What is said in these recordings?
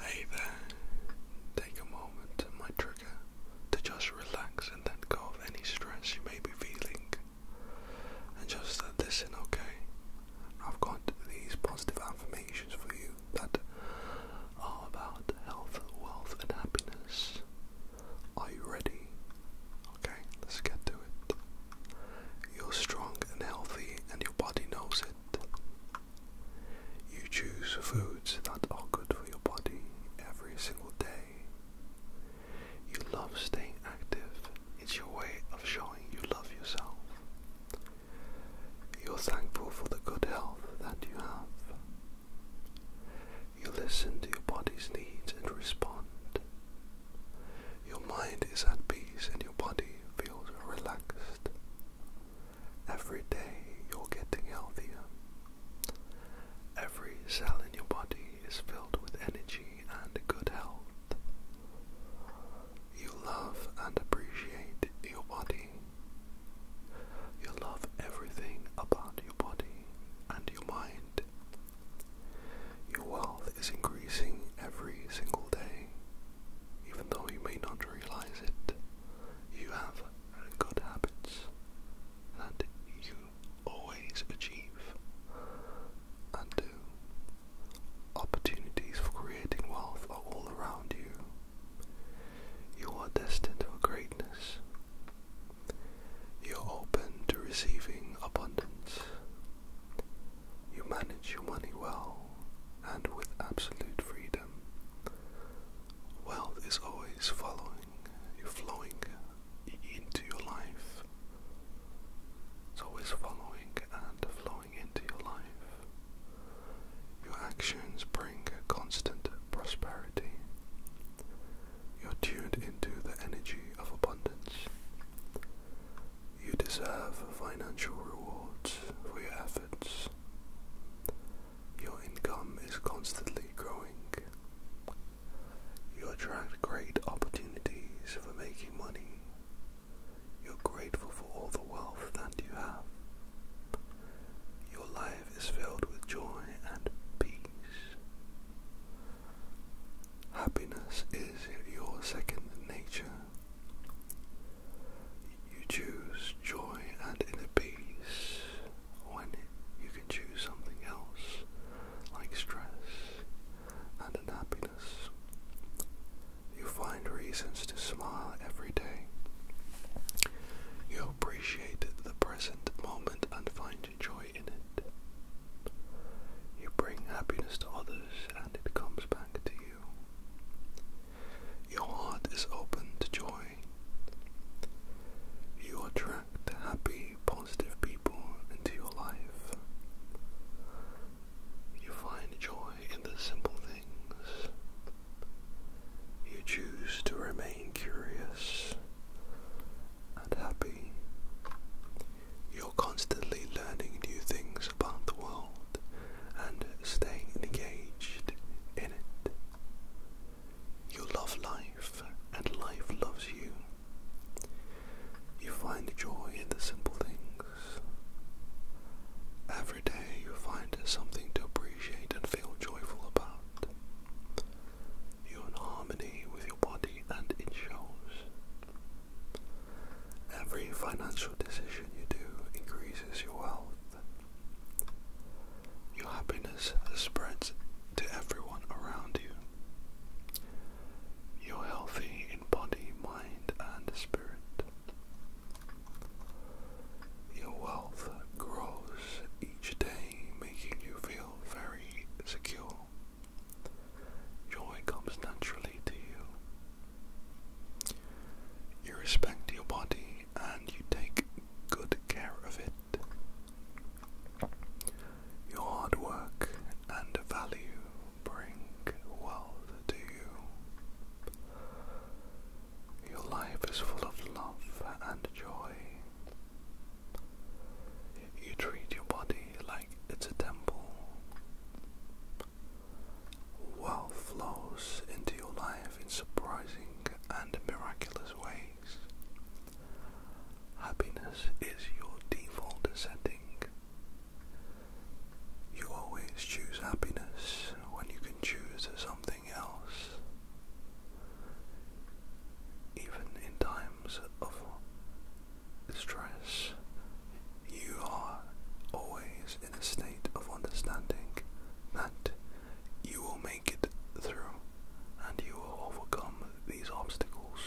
Hey there, take a moment, my trigger, to just relax and let go of any stress you may be feeling. And just listen, okay? I've got these positive affirmations for you that are about health, wealth, and happiness. Are you ready? Okay, let's get to it. You're strong and healthy, and your body knows it. You choose foods that are good for your body every single day. You love staying active, it's your way of showing you love yourself. You're thankful for the good health that you have. You listen to your body's needs and respond. Your mind is at peace and your body feels relaxed. Every day you're getting healthier. Every cell in your body is filled with energy and good health. You love and appreciate your body. You love everything about your body and your mind. Your wealth is increasing every single day, even though you may not realize it you have good habits and you always achieve and do. Opportunities for creating wealth are all around you. You are destined for greatness. You are open to receiving abundance. You manage your money well and with absolute freedom. Wealth is always following flowing into your life. It's always following and flowing into your life. Your actions bring constant prosperity. You're tuned into the energy of abundance. You deserve financial rewards for your efforts. Your income is constantly growing. You attract great opportunities for making money. You're grateful for all the wealth that you have. Your life is filled with joy and peace. Happiness is your second nature you choose joy and inner peace when you can choose something else like stress and unhappiness. You find reasons to smile every day. You appreciate the present moment and find joy in it. You bring happiness to others and it comes back to you. Your heart is open to joy. You attract happy, positive people into your life. You find joy in the simple things. You choose to remain curious and happy. You're constantly learning new things about the world and staying engaged in it. You love life, and life loves you. You find joy in the simple things. Every day you find something to appreciate and feel joyful about. You're in harmony with your body, and it shows. Every financial decision you do increases your wealth. Your happiness spreads to everyone around you. You're healthy in body, mind, and spirit. Your wealth grows each day, making you feel very secure. Joy comes naturally to you. You respect your body and you take good care of it. Your hard work and value bring wealth to you. Your life is full of love and joy. You treat your body like it's a temple. Wealth flows into your life in surprising and miraculous ways. Happiness is your default setting. You always choose happiness when you can choose something else. Even in times of stress, you are always in a state of understanding that you will make it through, and you will overcome these obstacles.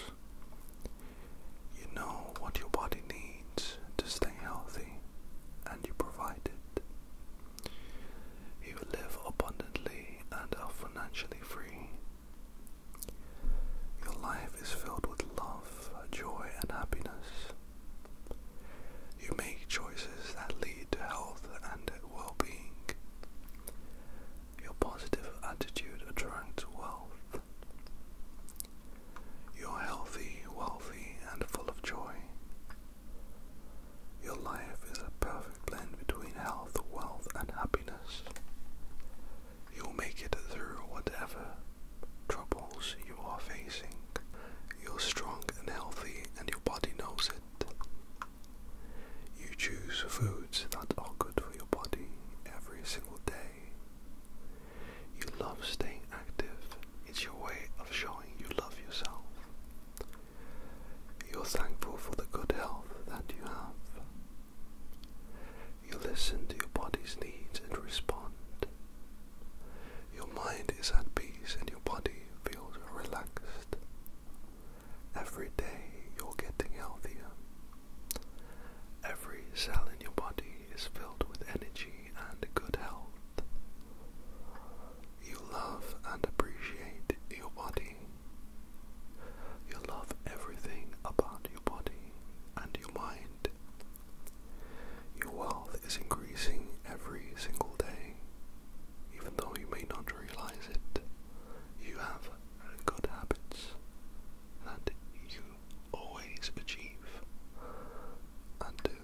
You know what your body needs to stay healthy, and you provide it. You will live abundantly and are financially free. Your life is filled with love, joy, and happiness. You make choices that lead to health and well being. Your positive attitude attracts wealth. You're healthy, wealthy, and full of joy. Your life is a perfect blend between health, wealth, and happiness. You'll make it through whatever troubles you are facing. You're strong and healthy, and your body knows it. You choose foods that are good for your body every single day. You love staying active, it's your way of showing you love yourself. You're thankful for the good health that you have. You listen to your body's needs and respond. Your mind is at peace and your body feels feels relaxed. Every day you're getting healthier. Every cell in your body is filled with energy and good health. You love and appreciate your body. You love everything about your body and your mind. Your wealth is increasing every single day even though you may not realize it, you have good habits that you always achieve and do.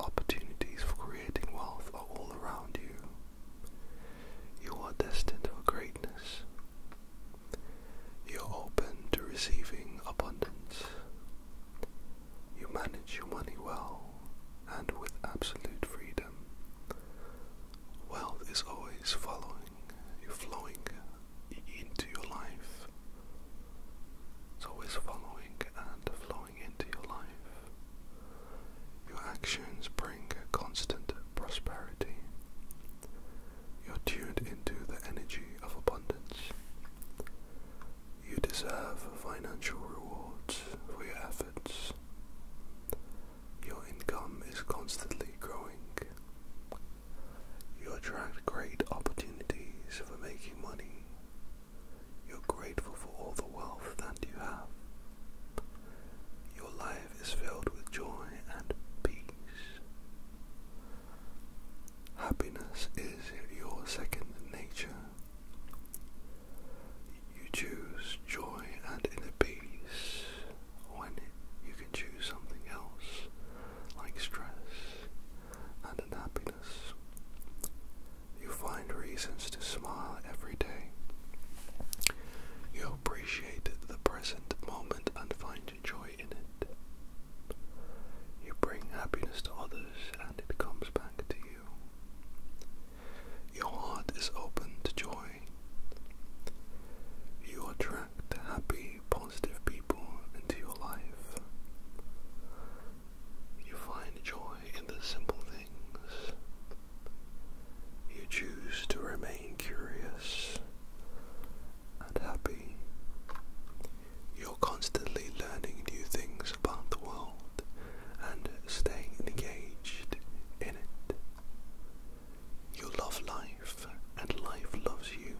Opportunities for creating wealth are all around you. You are destined for greatness. You're open to receiving abundance you manage your money well and with absolute freedom. Wealth is always following you, flowing into your life. It's always following and flowing into your life. Your actions bring constant prosperity. You're tuned into the energy of abundance. You deserve financial rewards for your efforts. Your income is constantly growing. You attract great opportunities for making money. You're grateful for all the wealth that you have. Your life is filled with joy and peace. Happiness is your second nature. You choose joy and inner peace when you can choose something else like stress and unhappiness. You find reasons to smile every day. You appreciate the present moment and find joy in it. You bring happiness to others and it comes back to you. Your heart is open to joy. You attract happy, positive people into your life. You find joy in the simple things. You choose to remain curious and happy. You're constantly learning new things about the world and staying engaged in it. You love life and life loves you.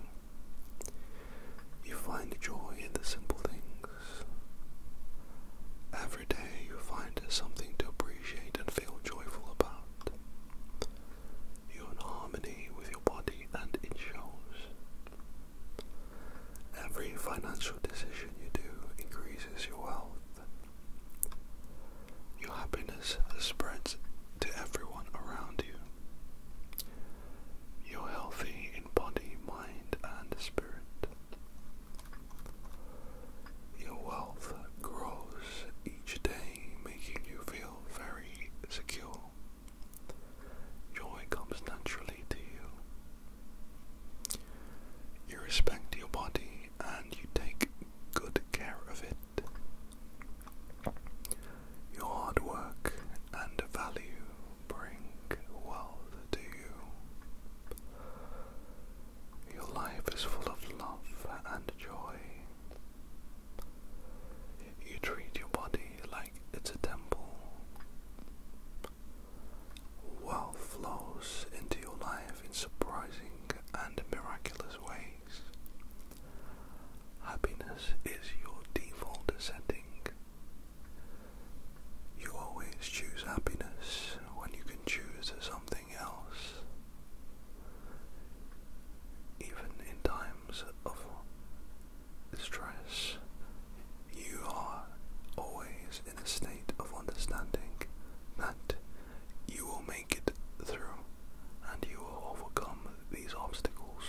You find joy in the simple things. Every day you find something to appreciate and feel joyful about. You're in harmony with your body and it shows. Every financial decision you do increases your wealth. Your happiness spreads to everyone around you. You're healthy in body, mind, and spirit. Your wealth grows each day, making you feel very secure. Joy comes naturally to you. You respect your body and you take good care of it. Your hard work and value bring wealth to you. Your life is full of love and joy. You treat your body like it's a temple. Wealth flows into your life in surprising and miraculous ways. Happiness is your default setting. You always choose happiness when you can choose something else. Even in times of stress, you are always in a state of understanding that you will make it through and you will overcome these obstacles.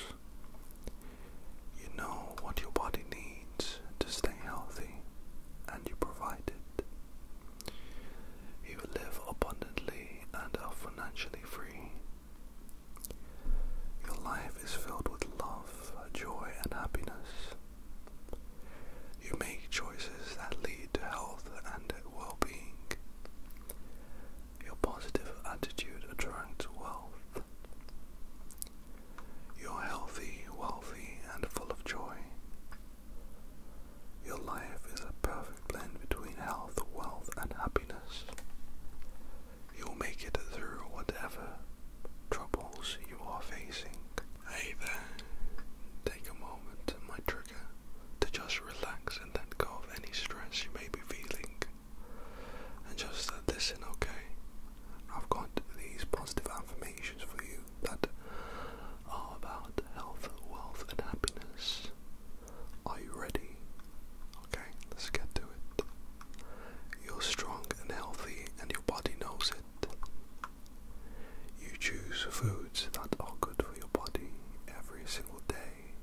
You know what your body needs to stay healthy and you provide it. You live abundantly and are financially free. Your life is filled with love, joy, and happiness. You make choices that lead to health and well being. Your positive attitude attracts wealth. You're healthy, wealthy, and full of joy. Your life is a perfect blend between health, wealth, and happiness. You'll make it through whatever troubles you are facing. Hey there, take a moment my trigger to just relax and let go of any stress you may be feeling. And just listen, okay? I've got these positive affirmations for you that are about health, wealth, and happiness. Are you ready? Okay, let's get to it. You're strong and healthy, and your body knows it. You choose foods that are good for your body every single day.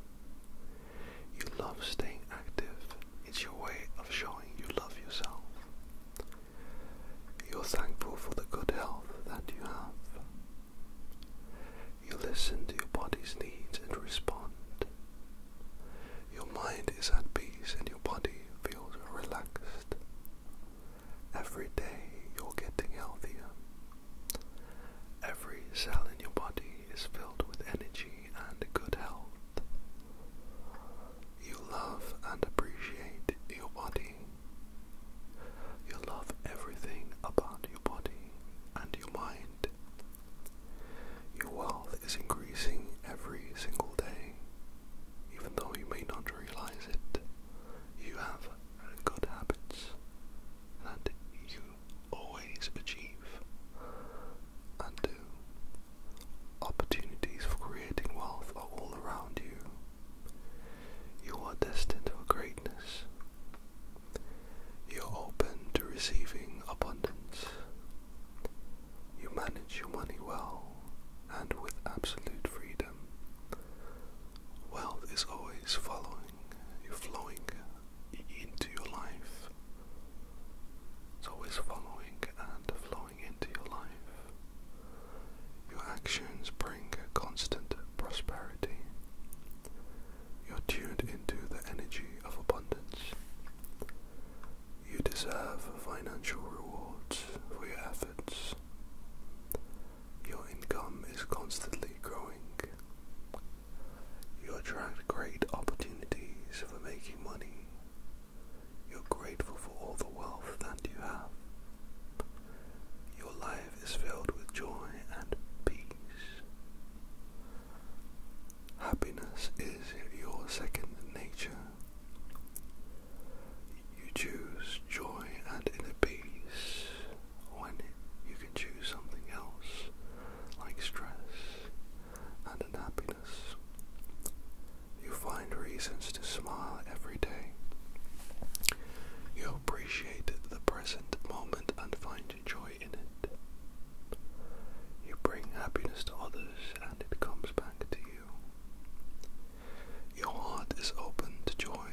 You love staying active, it's your way of showing you love yourself. You're thankful for the good health that you have. You listen to your body's needs and respond. Your mind is at peace and your body feels relaxed. Every day you're getting healthier. Every cell in your body is filled with energy and good health. You love and appreciate your body. You love everything about your body and your mind. Your wealth is increasing every single day even though you may not realize it, you have good habits and you always achieve and do. Opportunities for creating wealth are all around you. You are destined for greatness. You're open to receiving abundance. You manage your money well and with absolute freedom. Wealth is always following you, flowing into your life. It's always following and flowing into your life. Your actions bring constant prosperity. You're tuned into the energy of abundance. You deserve financial rewards for your efforts. Your income is constantly growing. You attract great opportunities for making money. You're grateful for all the wealth that you have. Your life is filled with joy and peace. Happiness is your second nature. You choose joy and inner peace when you can choose something else like stress and unhappiness. You find reasons to smile every day. You appreciate the present moment and find joy in it. You bring happiness to others and it comes back to you. Your heart is open to joy.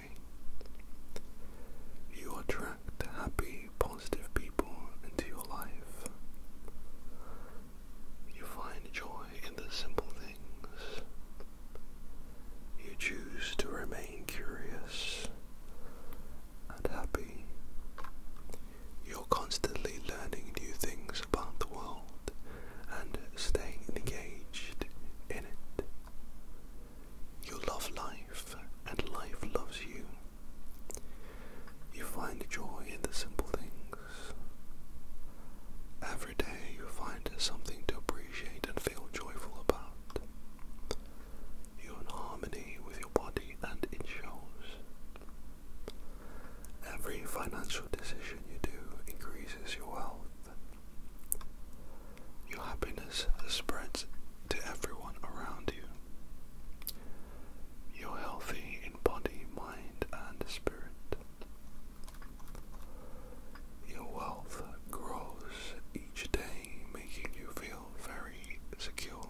You attract happy, positive people into your life. You find joy in the simple things. You choose to remain curious and happy. You're constantly learning new things about the world and stay engaged in it. You love life, and life loves you. You find joy in the simple things. Every day you find something to appreciate and feel joyful about. You're in harmony with your body and it shows. Every financial decision you do increases your wealth. Your happiness spreads to everyone around you. You're healthy in body, mind, and spirit. Your wealth grows each day, making you feel very secure.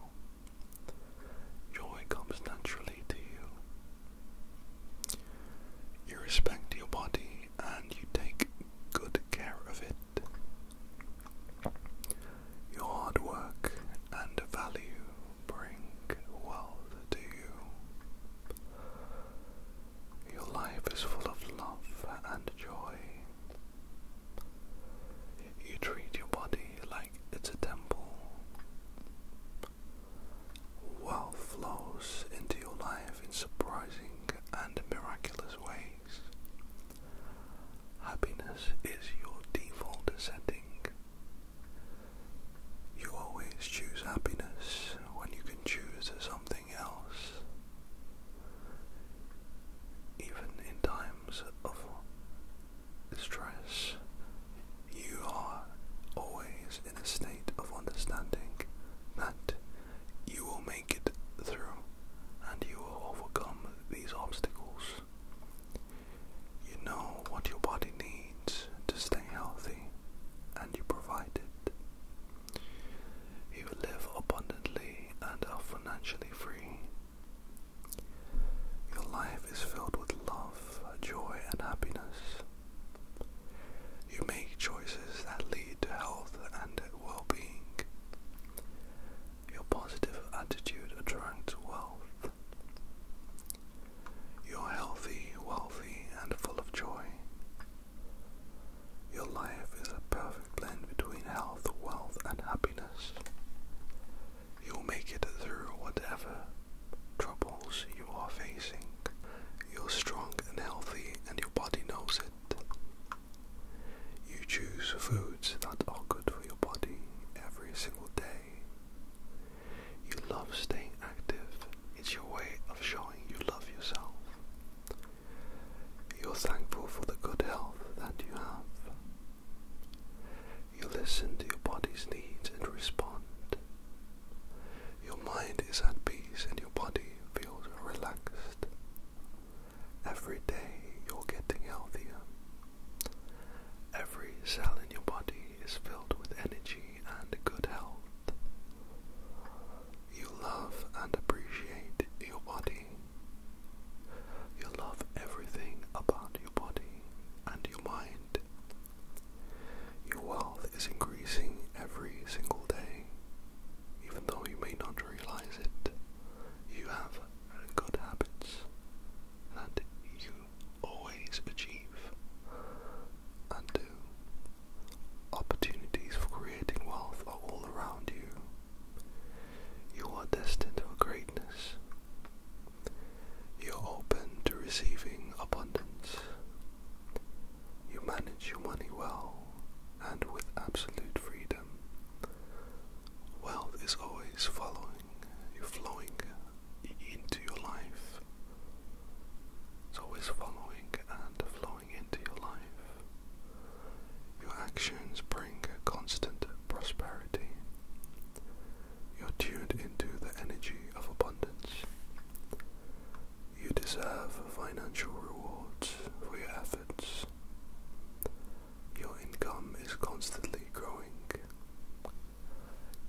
Joy comes naturally to you. You respect your body and you take good care of it. Your hard work and value bring wealth to you. Your life is full of love and joy. You treat your body like it's a temple. Wealth flows into your life in surprising and miraculous ways. Happiness is your default setting. You always choose happiness when you can choose something else. Even in times of stress, you are always in a state of understanding that you will make it through and you will overcome these obstacles. You know what your body needs to stay healthy and you provide it. You live abundantly and are financially free. Your life is filled with love, joy, and happiness. You make choices that lead to health and well being. Your positive attitude attracts wealth. You're healthy, wealthy, and full of joy. Your life is a perfect blend between health, wealth, and happiness. You'll make it through whatever troubles you are facing you're strong and healthy and your body knows it. You choose foods that are good for your body every single day. You love staying active, it's your way of showing you love yourself. You're thankful for the good health that you have. You listen to your body's needs and respond. Your mind is at peace and your body feels relaxed. Every day you're getting healthier. Every cell in your body is filled with energy and good health. You love and appreciate your body. You love everything about your body and your mind. Your wealth is increasing every single day. Even though you may not realize it, you have good habits that you always achieve and do. Opportunities for creating wealth are all around you. You are destined for greatness. You're open to receiving abundance. You manage your money well and with absolute freedom. Wealth is always following you, flowing into your life. It's always following and flowing into your life. Your actions bring constant prosperity. You're tuned into the energy of abundance. You deserve financial rewards for your efforts. Your income is constantly growing.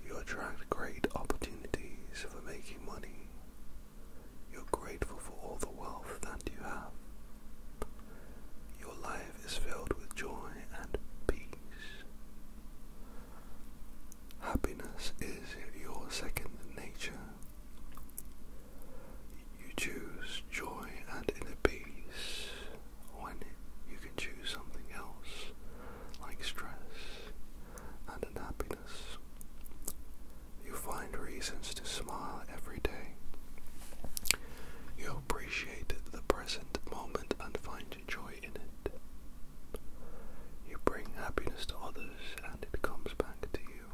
You attract great opportunities for making money. You're grateful for all the wealth that you have. Your life is filled with joy and peace. Happiness is your second nature. You choose joy and inner peace when you can choose something else like stress and unhappiness. You find reasons to smile every day. You appreciate the present moment and find joy in it. You bring happiness to others and it comes back to you.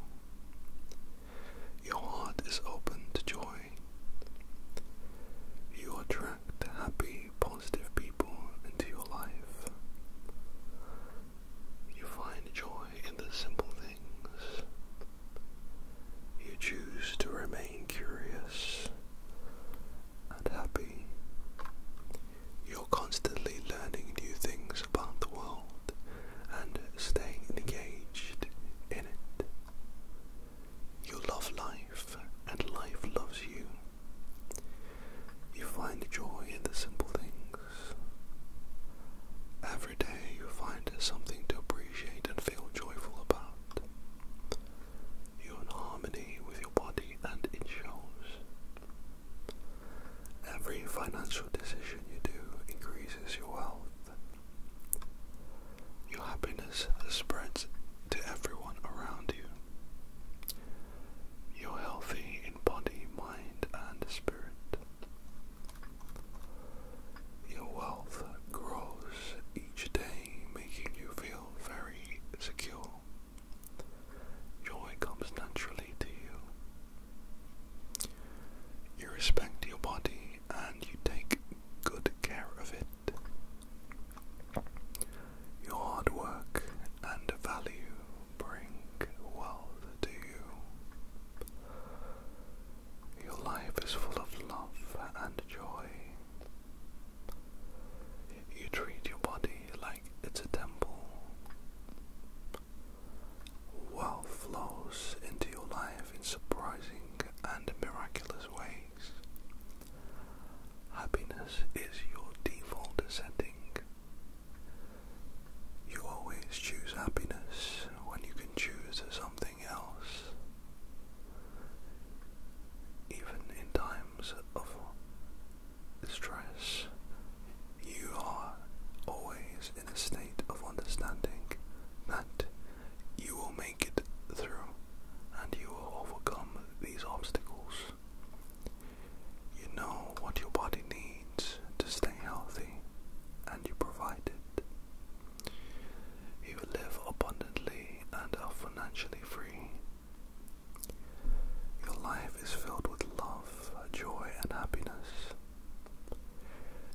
Your heart is open to joy. You attract happy, positive people into your life. You find joy in the simple things. You choose to remain curious and happy. You're constantly learning new things about the world and staying engaged in it. You love life and life loves you. You find joy in the simple things. Every day you find something to appreciate and feel joyful about. You're in harmony with your body and it shows. Every financial decision you do increases your wealth. Your happiness spreads to everyone around you. You're healthy in body, mind, and spirit. Your wealth grows each day, making you feel very secure. Joy comes naturally to you. You respect your body and you take good care of it. Your hard work and value bring wealth to you. Your life is full of love and joy. You treat your body like it's a temple. Wealth flows into your life in surprising and miraculous ways. Happiness is your default setting. You always choose happiness when you can choose something else. Even in times of stress, you are always in a state of understanding that you will make it through and you will overcome these obstacles. You know what your body needs to stay healthy and you provide it. You live abundantly and are financially free. Your life is filled with love, joy, and happiness.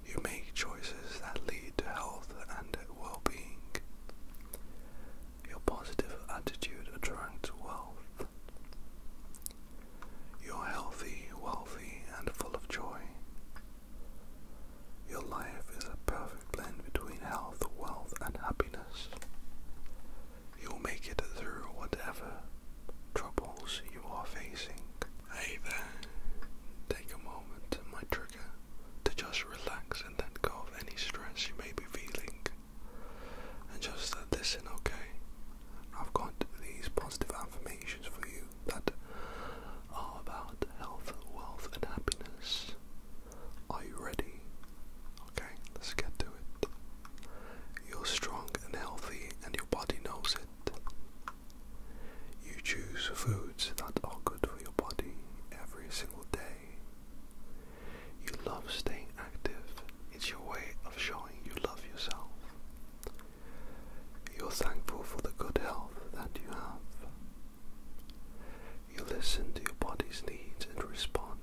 You make choices that lead to health and well being. Your positive attitude attracts wealth. You're healthy, wealthy, and full of joy. Your life is a perfect blend between health, wealth, and happiness. You'll make it through whatever troubles you are facing. Hey there, take a moment, my trigger, to just relax and let go of any stress you may be feeling. And just listen, okay? I've got these positive affirmations for you that are about health, wealth, and happiness. Are you ready? Okay, let's get to it. You're strong and healthy, and your body knows it. You choose foods that are good for your body every single day. You love staying active, it's your way of showing you love yourself. You're thankful for the good health that you have. You listen to your body's needs and respond.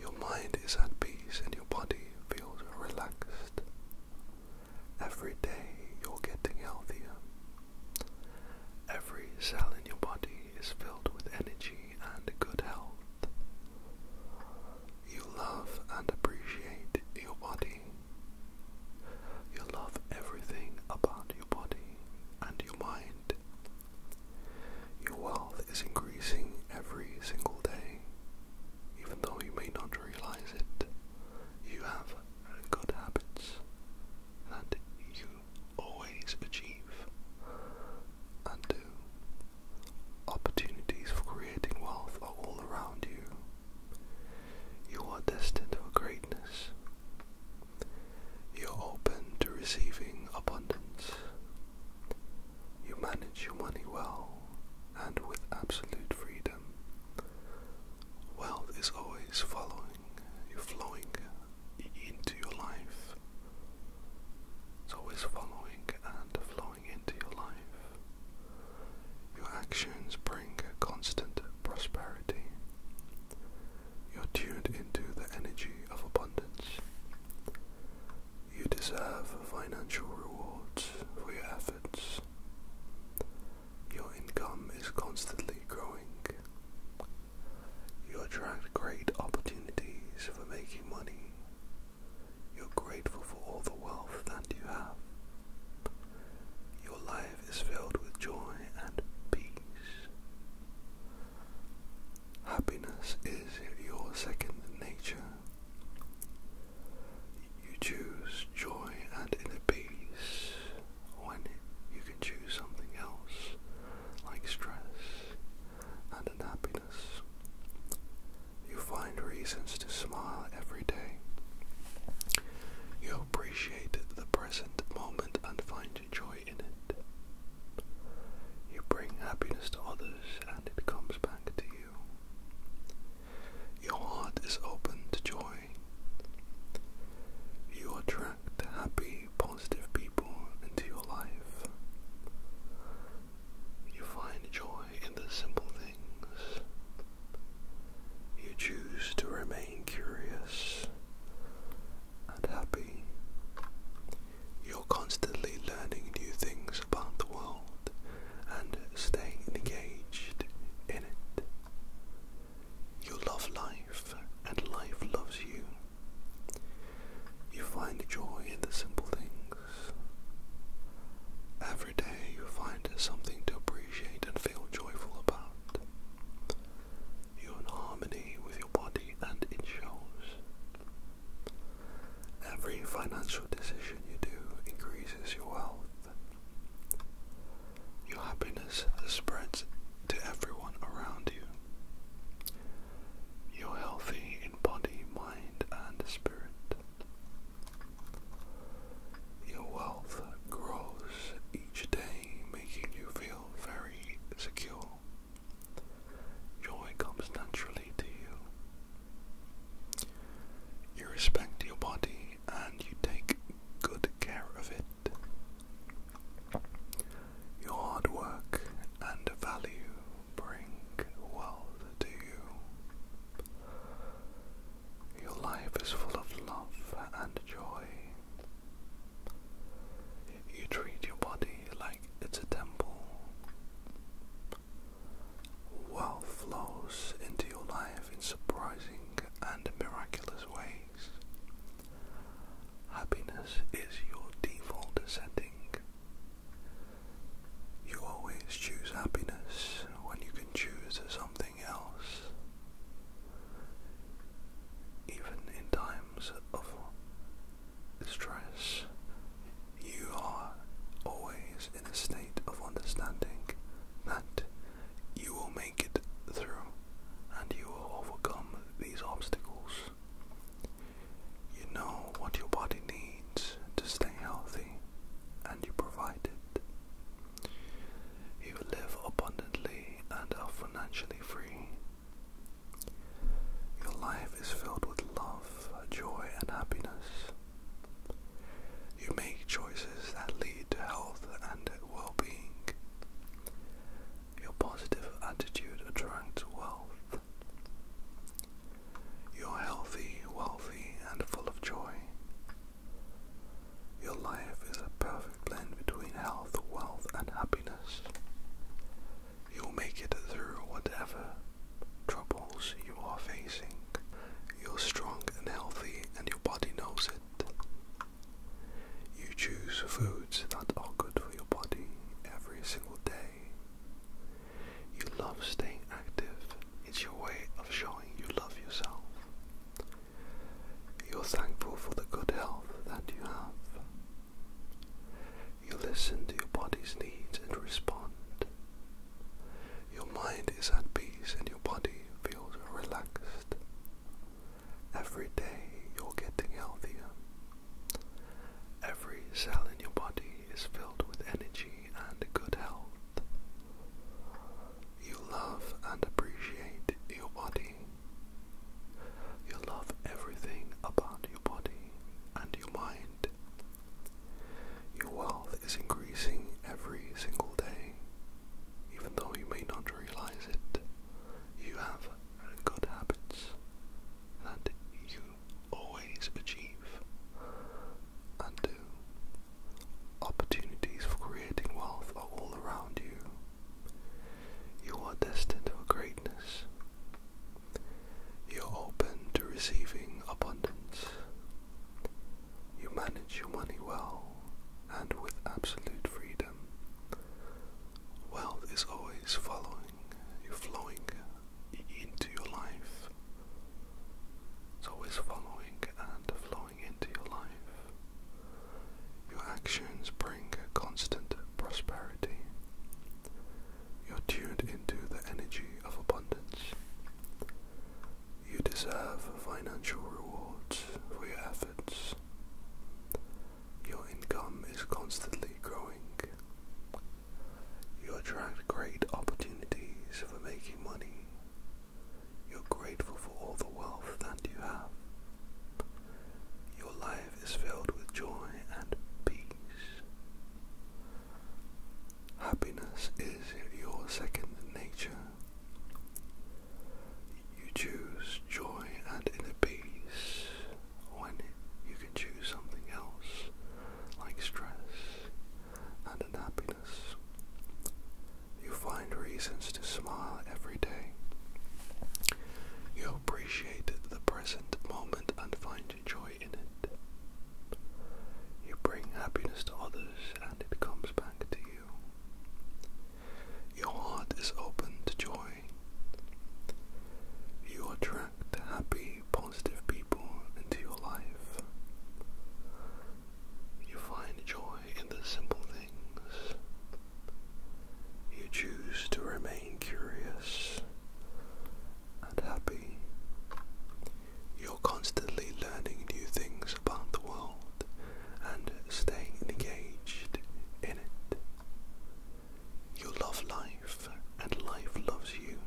Your mind is at peace and your body feels relaxed. Every day you're getting healthier. Every cell in your body is filled with energy and good health. You love and appreciate your body. You love everything about your body and your mind. Your wealth is increasing every single day even though you may not realize it, you have good habits and you always achieve and do. Opportunities for creating wealth are all around you. You are destined for greatness. You're open to receiving abundance you manage your money well and with absolute freedom. Wealth is always following you, flowing into your life. It's always following and flowing into your life. Your actions bring constant prosperity. You're tuned into the energy of abundance. You deserve financial rewards for your efforts. Your income is constantly growing. You attract great opportunities for making money. You're grateful for all the wealth that you have. Your life is filled with joy and peace. Happiness is your second nature. You choose joy and inner peace when you can choose something else, like stress and unhappiness. You find reasons to smile every day. You appreciate the present moment and find joy in it. You bring happiness to others and it comes back to you. Your heart is open to joy. You attract happy, positive people into your life. You find joy in the simple things. You choose to remain curious and happy. You're constantly learning new things about the world and stay engaged in it. You love life, and life loves you. You find joy in the simple things. Every day you find something to appreciate and feel joyful about. You're in harmony with your body and it shows. Every financial decision you do increases your wealth. Your happiness spreads to everyone around you. You're healthy in body, mind, and spirit. Your wealth grows each day, making you feel very secure. Joy comes naturally to you. You respect your body and you take good care of it. Your hard work and value bring wealth to you. Your life is full of love and joy. You treat your body like it's a temple. Wealth flows into your life in surprising and miraculous ways. Happiness is your default setting. You always choose happiness when you can choose something else. Even in times of stress, you are always in a state of understanding that you will make it through and you will overcome these obstacles. You know what your body needs to stay healthy and you provide it. You live abundantly and are financially free. Your life is filled with love, joy, and happiness. You make choices that lead to health and well being. Your positive attitude attracts wealth. You're healthy, wealthy, and full of joy. Your life is a perfect blend between health, wealth, and happiness. You'll make it through whatever troubles you are facing. You're strong and healthy, and your body knows it. You choose foods that are good for your body every single day. You love staying active, it's your way of showing you love yourself. You're thankful for the good health that you have. You listen to your body's needs and respond. Your mind is at peace and your body feels relaxed. Every day you're getting healthier. Every cell in your body is filled with energy and good health. You love and appreciate your body. You love everything about your body and your mind. Your wealth is increasing every single day, even though you may not realize it. You have good habits and you always achieve and do. Opportunities for creating wealth are all around you. You are destined for greatness. You're open to receiving abundance. You manage your money well and with absolute freedom. Wealth is always following you, flowing into your life. It's always following and flowing into your life. Your actions bring constant prosperity. You're tuned into the energy of abundance. You deserve financial rewards for your efforts. Your income is constantly growing. You attract great opportunities for making money. You're grateful for all the wealth that you have. Your life is filled with joy and peace. Happiness is your second nature. You choose joy and inner peace when you can choose something else, like stress and unhappiness. You find reasons to smile every day. You appreciate the present moment and find joy in it. You bring happiness to others and it comes back to you. Your heart is open to joy. You attract happy, positive people into your life. You find joy in the simple things. You choose to remain curious and happy. You're constantly learning new things about the world and staying engaged in it. You love life and life loves you.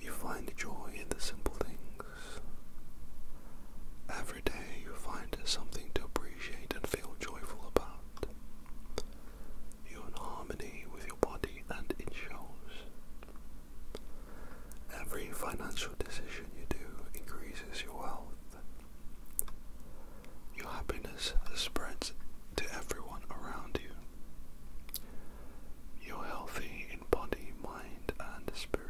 You find joy in the simple things. Every day you find something to appreciate and feel joyful about. You're in harmony with your body and it shows. Every financial decision you do increases your wealth. Your happiness spreads to everyone around you. You're healthy in body, mind, and spirit.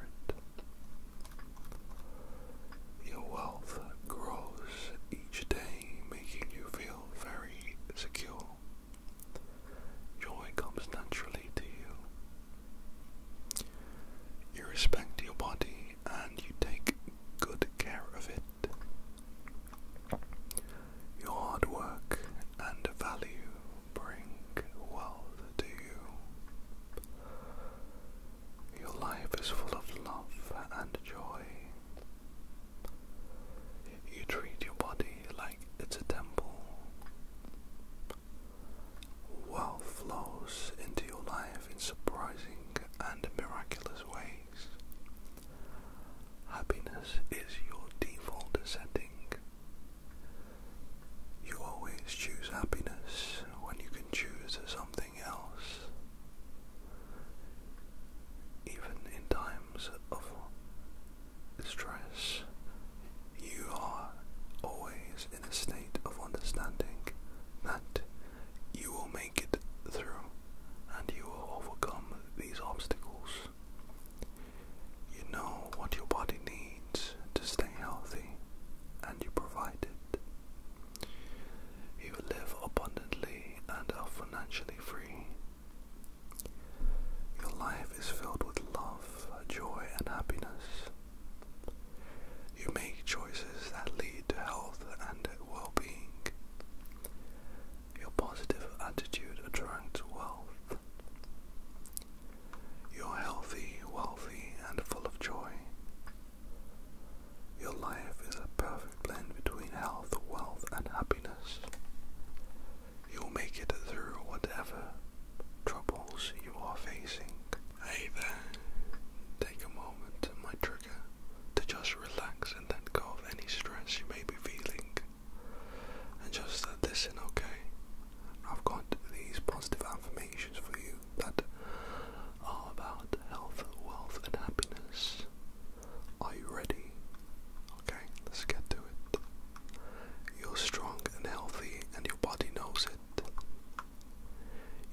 Your wealth grows each day, making you feel very secure. Joy comes naturally to you. You respect your body and you take good care of it. Your hard work and value bring wealth to you. Your life is full of love and joy. You treat your body like it's a temple. Wealth flows into your life in surprising and miraculous ways. Happiness is your default setting. You always choose happiness when you can choose something else. Even in times of stress, you are always in a state of understanding that you will make it through and you will overcome these obstacles. You know what your body needs to stay healthy and you provide it. You live abundantly and are financially free. Your life is filled with love, joy, and happiness. You make choices that lead to health and well being. Your positive attitude attracts wealth. You're healthy, wealthy, and full of joy. Your life is a perfect blend between health, wealth, and happiness. You'll make it through whatever troubles you are facing. Hey there, take a moment, my trigger, to just relax and then go off any stress you may be feeling. And just listen, okay? I've got these positive affirmations for you that are about health, wealth, and happiness. Are you ready? Okay, let's get to you're strong and healthy, and your body knows it.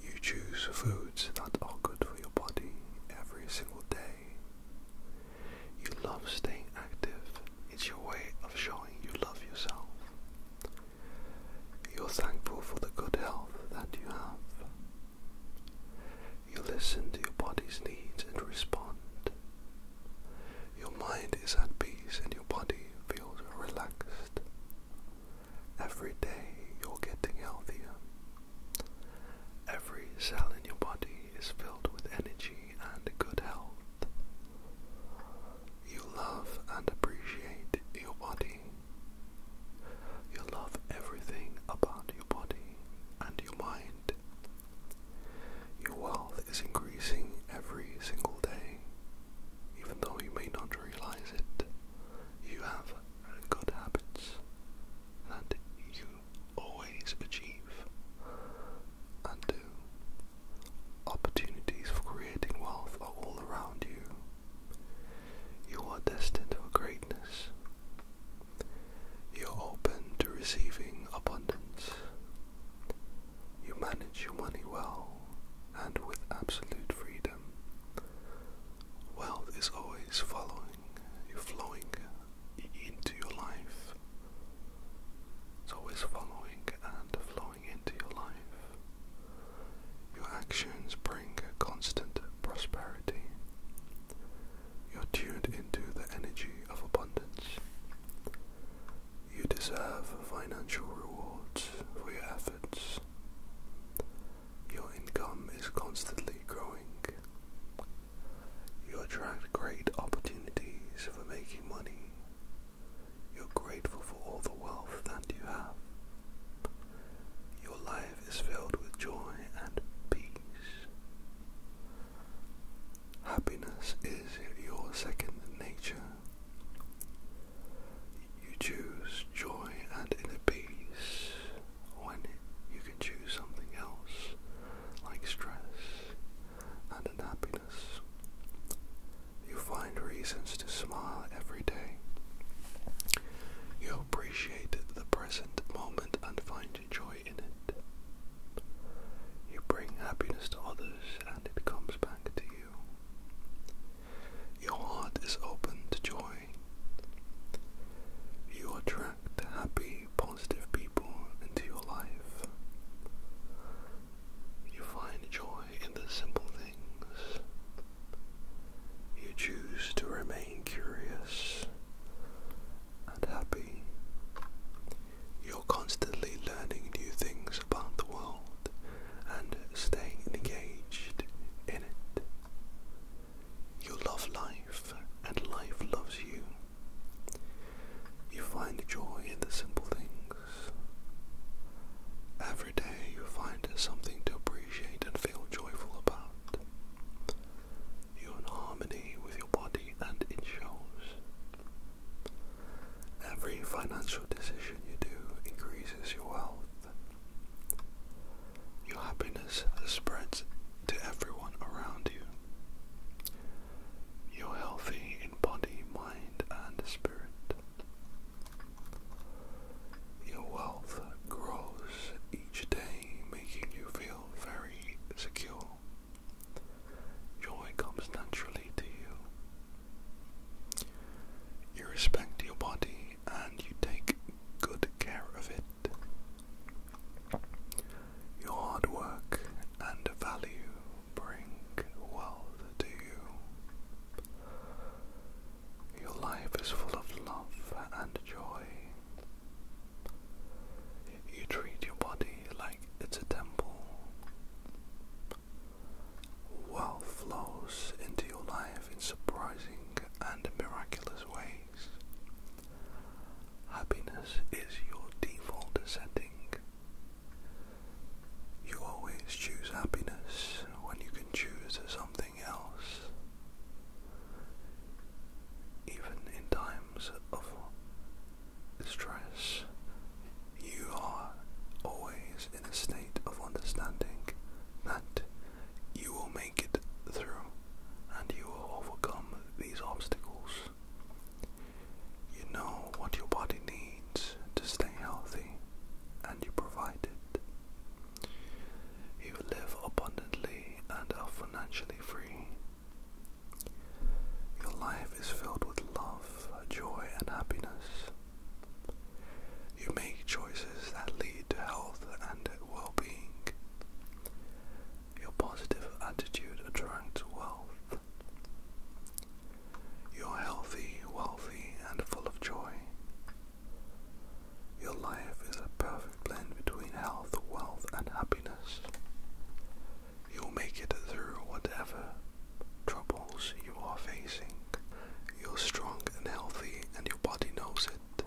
You choose foods that are good for your body every single day. You love staying active, it's your way of showing you love yourself. You're thankful for the good health that you have. You listen to your body's needs and respond. Your mind is at peace and your body feels relaxed. Every day you're getting healthier. Every cell in your body is filled with energy and good health. You love and appreciate your body. You love everything about your body and your mind. Your wealth is increasing every single day, even though you may not realize it. You have good habits that you always achieve and do. Opportunities for creating wealth are all around you. You are destined for greatness. You're open to receiving abundance. You manage your money well and with absolute freedom. Wealth is always following you, flowing into your life. It's always following and flowing into your life. Your actions bring constant prosperity. You're tuned into the energy of abundance. You deserve financial rewards for your efforts. Your income is constantly growing. You attract great opportunities for making money. You're grateful for all the wealth that you have. Your life is filled with joy and peace. Happiness is your second nature. You choose joy and inner peace when you can choose something else like stress and unhappiness. You find reasons to smile every day. You appreciate the present moment and find joy in it. You bring happiness to others and it comes back to you. Your heart is open to joy. You attract happy, positive people into your life. You find joy in the simple things. You choose to remain curious and happy. You're constantly learning new things about the world and staying engaged in it. You love life and life loves you. You find joy in the simple things. Every day you find something to appreciate and feel joyful about. You're in harmony with your body and it shows. Every financial decision you do increases your wealth. Your happiness spreads to everyone around you. You're healthy in body, mind, and spirit. Your wealth grows each day, making you feel very secure. Joy comes naturally to you. You respect your body and you take good care of it. Your hard work and value bring wealth to you. Your life is full of love and joy. You treat your body like it's a temple. Wealth flows into your life in surprising and miraculous ways. Happiness is your default setting. You always choose happiness when you can choose something else. Even in times of stress, you are always in a state of understanding that you will make it through and you will overcome these obstacles. You know what your body needs to stay healthy and you provide it. You live abundantly and are financially free. Your life is filled with love, joy, and happiness. You make choices that lead to health and well being. Your positive attitude attracts wealth. You're healthy, wealthy, and full of joy. Your life is a perfect blend between health, wealth, and happiness. You'll make it through whatever troubles you are facing. You're strong and healthy, and your body knows it.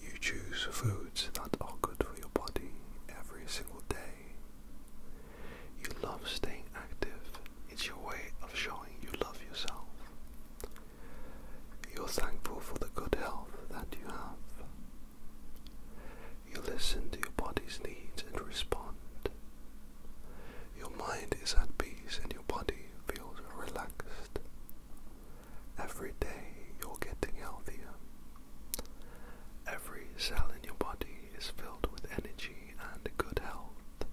You choose foods that are good for your body every single day. You love staying active, it's your way of showing you love yourself. You're thankful for the good health that you have. You listen to your body's needs and respond. Your mind is at peace and your body feels relaxed. Every day you're getting healthier. Every cell in your body is filled with energy and good health.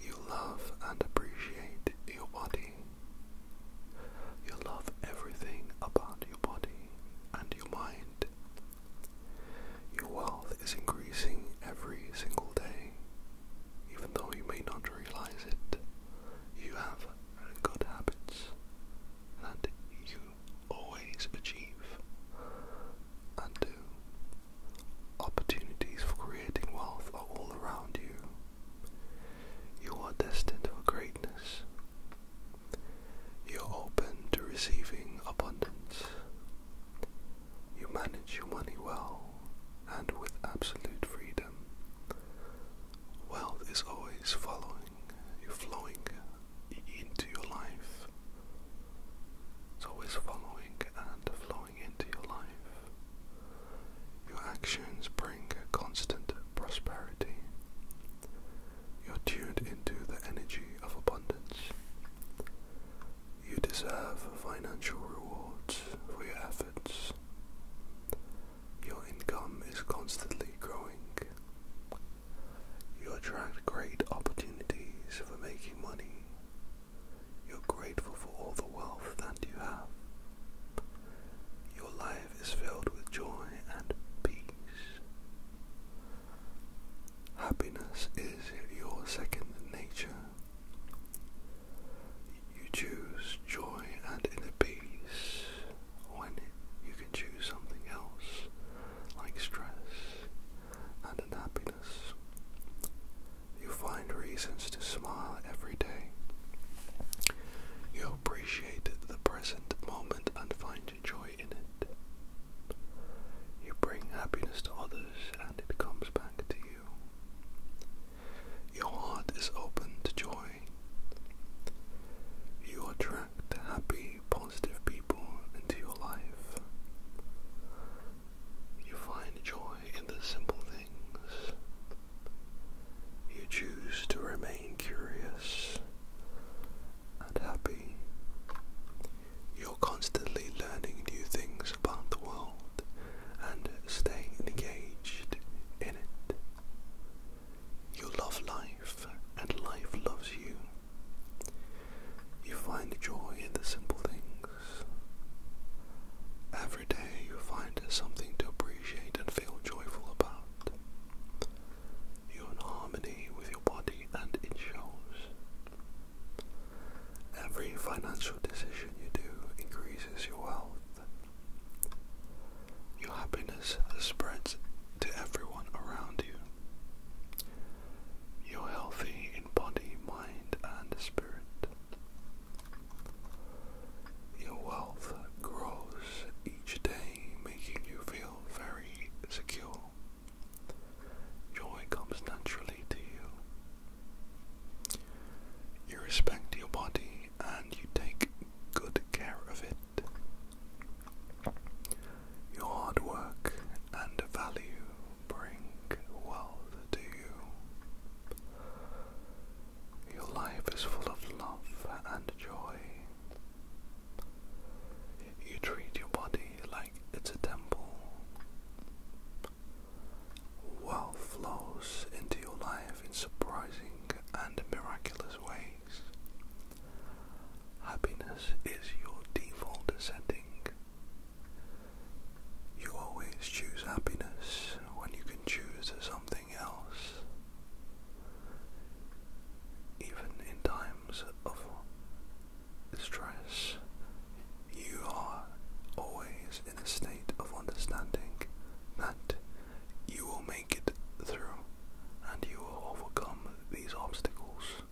You love and appreciate your body. You love everything about your body and your mind. Your wealth is increasing every single day. Even though you may not realize it, you have good habits that you always achieve and do. Opportunities for creating wealth are all around you. You are destined for greatness. You're open to receiving abundance. You manage your money well and with absolute freedom. Wealth is always following you, flowing into your life. It's always following and flowing into your life. Your actions bring constant prosperity. You're tuned into the energy of abundance. You deserve financial rewards for your efforts. Your income is constantly growing. You attract great opportunities for making money. You're grateful for all the wealth that you have. Your life is filled with joy and peace. Happiness is your second nature. You choose joy and inner peace when you can choose something else, like stress and unhappiness. You find reasons to smile every day. You appreciate the present moment and find and joy in it. You bring happiness to others and it comes back to you. Your heart is open to joy. You attract happy, positive people into your life. You find joy in the simple things. You choose to remain curious and happy. You're constantly learning new things about the world and staying engaged in it. You love life and life loves you. You find joy in the simple things. Every day you find something to appreciate and feel joyful about. You're in harmony with your body and it shows. Every financial decision you do increases your wealth. Your happiness spreads to everyone around you. You're healthy in body, mind, and spirit. Your wealth grows each day, making you feel very secure. Joy comes naturally to you. You respect your body and you take good care of it. Your hard work and value bring wealth to you. Your life is full of love and joy. You treat your body like it's a temple. Wealth flows into your life in surprising and miraculous ways. Happiness is your default setting. You always choose happiness when you can choose something else. Even in times of stress, you are always in a state of understanding that you will make it through and you will overcome these obstacles.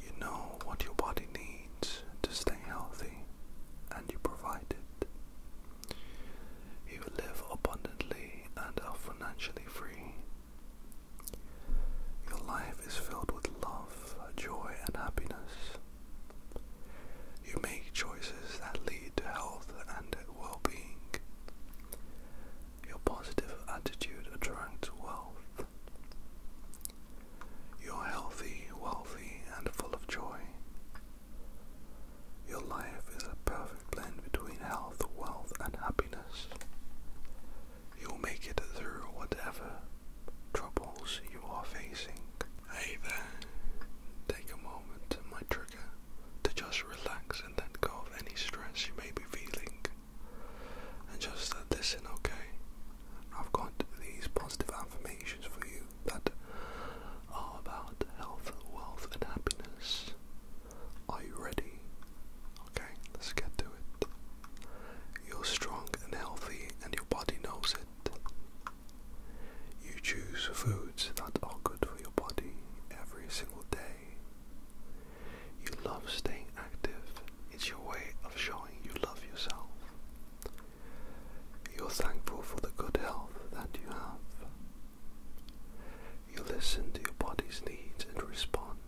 You know what your body needs to stay healthy and you provide it. You live abundantly and are financially free your life is filled with love, joy, and happiness. You make choices that lead to health and well being. Your positive attitude attracts wealth. You're healthy, wealthy, and full of joy. Your life is a perfect blend between health, wealth, and happiness. You'll make it through whatever troubles you are facing. Hey there, take a moment, my trigger, to just relax and let go of any stress you may be feeling. And just uh, listen, okay? I've got these positive affirmations for you that are about health, wealth, and happiness. Are you ready? Okay, let's get to it. You're strong and healthy, and your body knows it. You choose foods that are good for your body every single day. You love staying active, it's your way of showing you love yourself. You're thankful for the good health that you have. You listen to your body's needs and respond.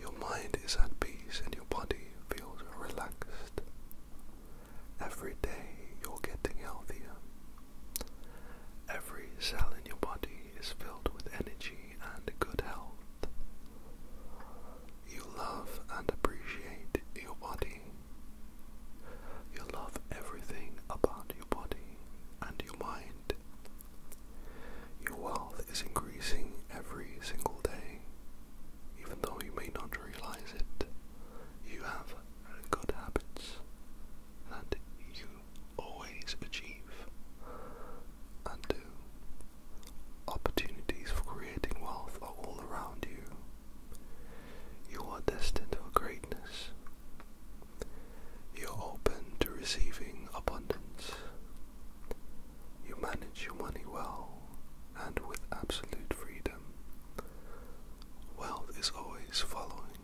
Your mind is at peace and your body feels relaxed. Every day you're getting healthier. Every cell in your body is filled with energy and good health. You love and appreciate your body. You love everything about your body and your mind. Your wealth is increasing every single day. Even though you may not realize it, you have good habits and you always achieve and do. Opportunities for creating wealth are all around you. You are destined for greatness. You're open to receiving abundance. You manage your money well and with absolute freedom. Wealth is always following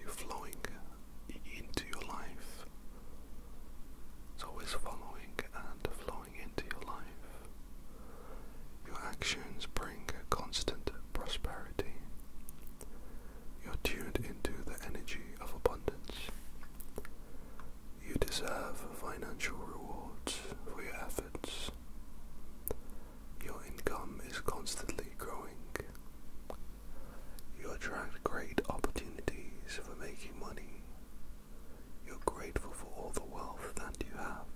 you, flowing into your life. It's always following and flowing into your life. Your actions bring constant prosperity. You're tuned into the energy of abundance. You deserve financial rewards for your efforts. Your income is constantly growing. You attract great opportunities for making money. You're grateful for all the wealth that you have.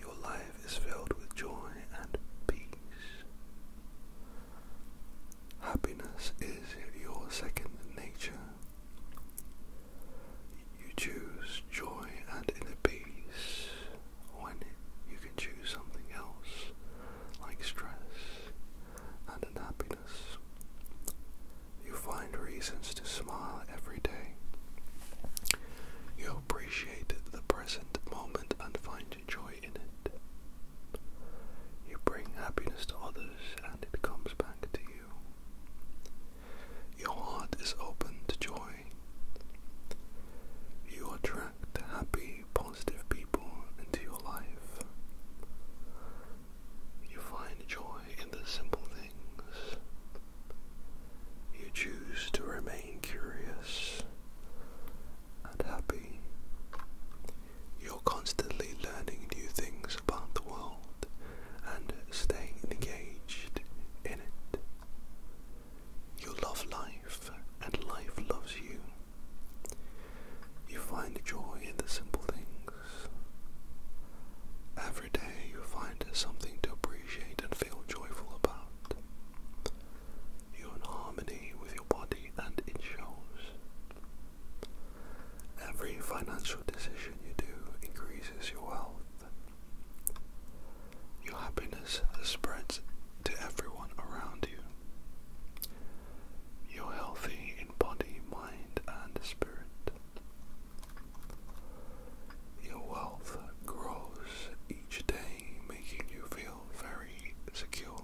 Your life is filled with joy and peace. Happiness is your second nature. You choose joy and inner peace when you can choose something else, like stress and unhappiness. You find reasons to smile every day. You appreciate the present moment and find joy in it. You bring happiness to others and it comes back to you. Your heart is open to joy. You attract happy, positive people into your life. You find joy in the simple things. You choose to remain curious and happy. You're constantly learning new things about the world and staying engaged in it. You love life and life loves you. You find joy in the simple things. Every day you find something to appreciate and feel joyful about. You're in harmony with your body and it shows. Every financial decision you do increases your wealth. Your happiness spreads to everyone around you. You're healthy in body, mind, and spirit. Your wealth grows each day, making you feel very secure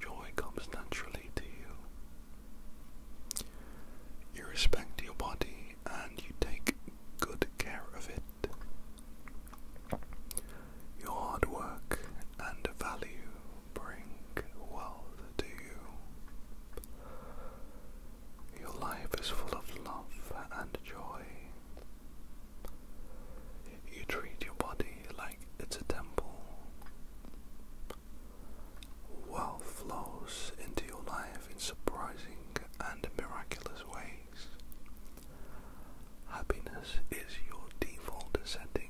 Joy comes naturally to you. You respect your body and you take good care of it. Your hard work and value bring wealth to you. Your life is full of love and joy. You treat your body like it's a temple. Wealth flows into your life in surprising and miraculous ways. Happiness is your default setting.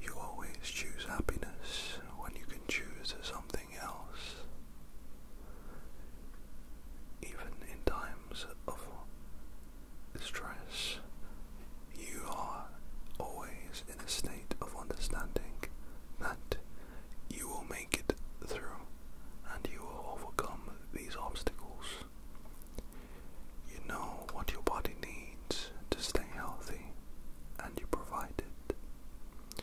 You always choose happiness when you can choose something else. Even in times of stress, you are always in a state of understanding that you will make it through and you will overcome these obstacles. You know what your body needs to stay healthy and you provide it.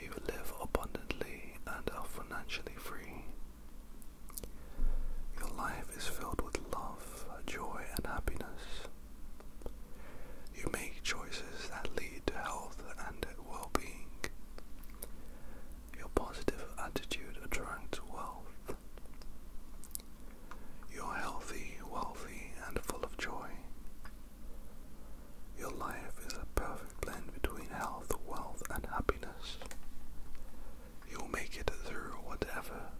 You live abundantly and are financially free. Your life is filled with love, joy, and happiness. You make choices that lead to health and well being. Your positive attitude attracts wealth. You're healthy, wealthy, and full of joy. Your life is a perfect blend between health, wealth, and happiness. You'll make it through whatever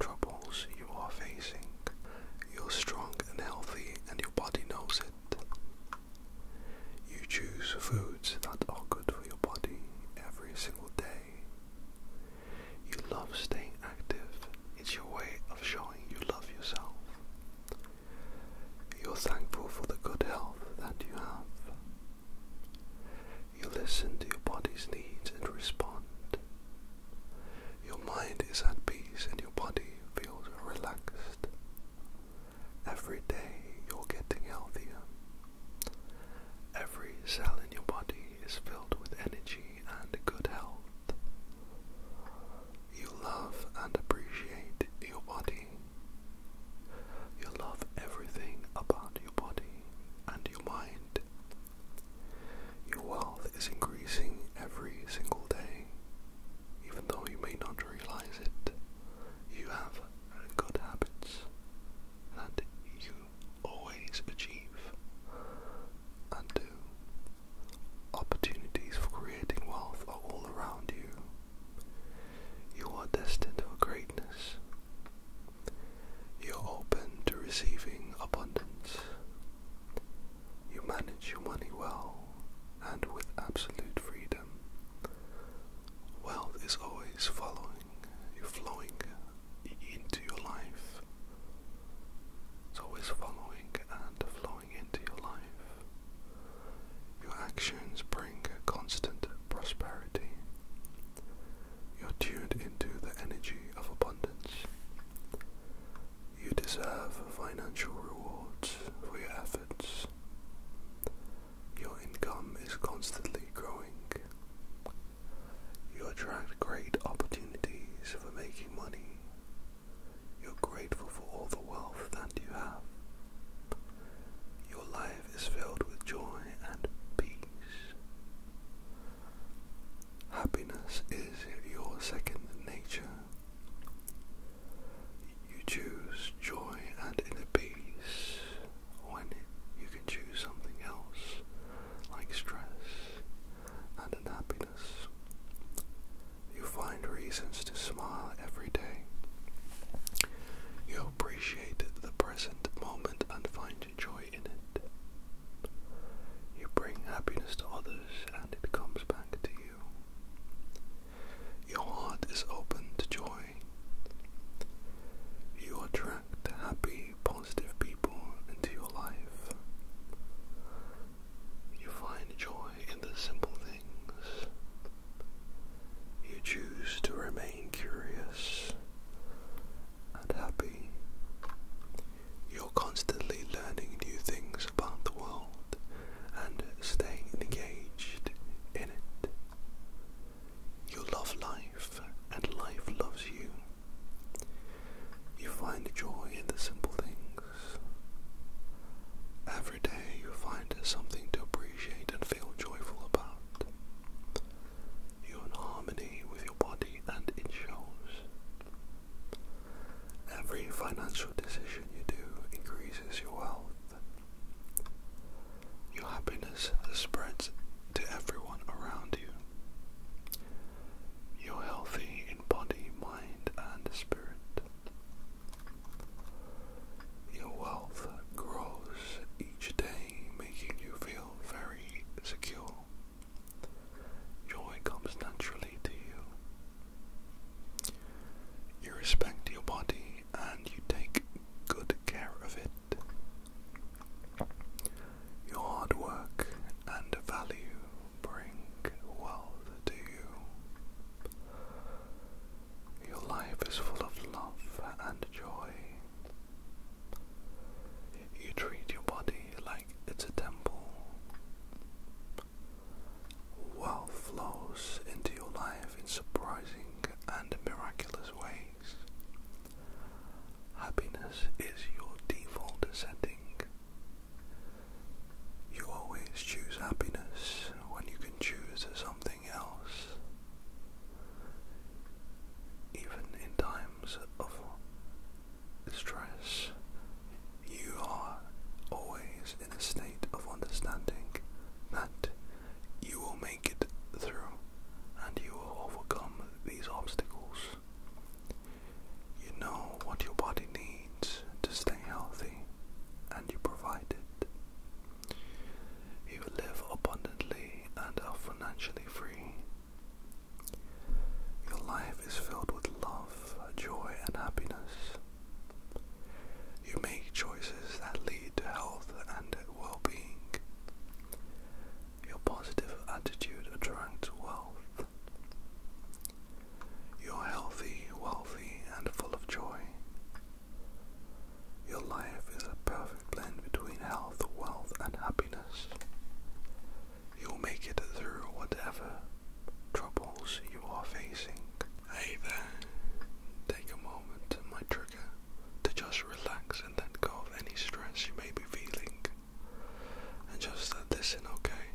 troubles you are facing. You're strong and healthy, and your body knows it. You choose foods that are good for your body every single day. You love staying active, it's your way of showing you love yourself. You're thankful for the good health that you have. You listen to your body's needs and respond. Your mind is at peace and your body feels relaxed. Every day you're getting healthier. Every cell in your body is filled with energy and good health. You love and appreciate your body. You love everything about your body and your mind. Your wealth is increasing every single day, even though you may not realize it. You have good habits and you always achieve and do. Opportunities for creating wealth are all around you. You are destined for greatness. You're open to receiving abundance. You manage your money well and with absolute freedom. Wealth is always following you, flowing into your life. It's always following and flowing into your life. Your actions bring constant prosperity. You're tuned into the energy of abundance. You deserve financial rewards for your efforts. Your income is constantly growing. You attract great opportunities for making money. You're grateful for all the wealth that you have. Your life is filled with joy and peace. Happiness is your second nature. You choose joy and inner peace when you can choose something else, like stress and unhappiness. You find reasons to smile every day. You appreciate the present moment and find find joy in it. You bring happiness to others and it comes back to you. Your heart is open to joy. You attract happy, positive people into your life. You find joy in the simple things. You choose to remain curious and happy. You're constantly learning new things about the world and staying engaged in it. You love life and life loves you. You find joy in the simple things. Every day you find something to appreciate and feel joyful about. You're in harmony with your body and it shows. Every financial decision you do increases your wealth. Your happiness spreads to everyone around you. You're healthy in body, mind, and spirit. Your wealth grows each day, making you feel very secure. Joy comes naturally to you. You respect your body and you take good care of it. Your hard work and value bring wealth to you. Your life is full of love and joy. You treat your body like it's a temple. Wealth flows into your life in surprising and miraculous ways. Happiness is your default setting. You always choose happiness when you can choose something else. Even in times of stress, you are always in a state of understanding that you will make it through and you will overcome these obstacles. You know what your body needs to stay healthy and you provide it. You live abundantly and are financially free your life is filled with love, joy, and happiness. You make choices that lead to health and well being. Your positive attitude attracts wealth. You're healthy, wealthy, and full of joy. Your life is a perfect blend between health, wealth, and happiness you'll make it through whatever troubles you are facing. Hey take a moment, my trigger, to just relax and let go of any stress you may be feeling. And just listen, okay?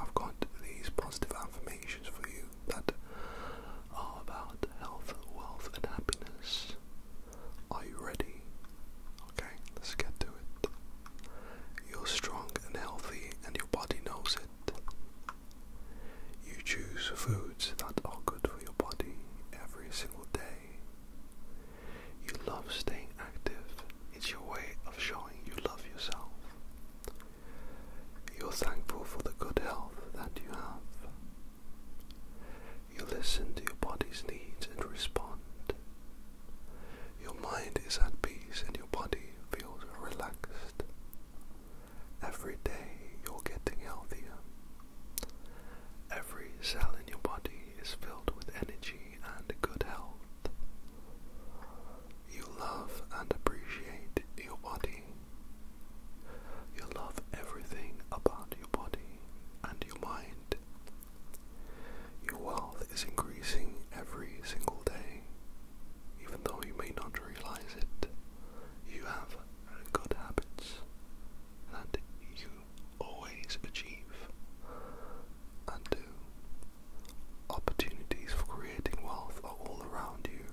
I've got these positive affirmations for you that are about health, wealth, and happiness. Are you ready? Okay, let's get to it. You're strong and healthy, and your body knows it. You choose foods that are good for your body every single day. You love staying active, it's your way of showing you love yourself. You're thankful for the good health that you have. You listen to your body's needs and respond. Your mind is at peace and your body feels relaxed. Every day you're getting healthier. Every cell in your body is filled with energy and good health. You love and appreciate your body. You love everything about your body and your mind. Your wealth is increasing every single day, even though you may not realize it. You have good habits and you always achieve and do. Opportunities for creating wealth are all around you.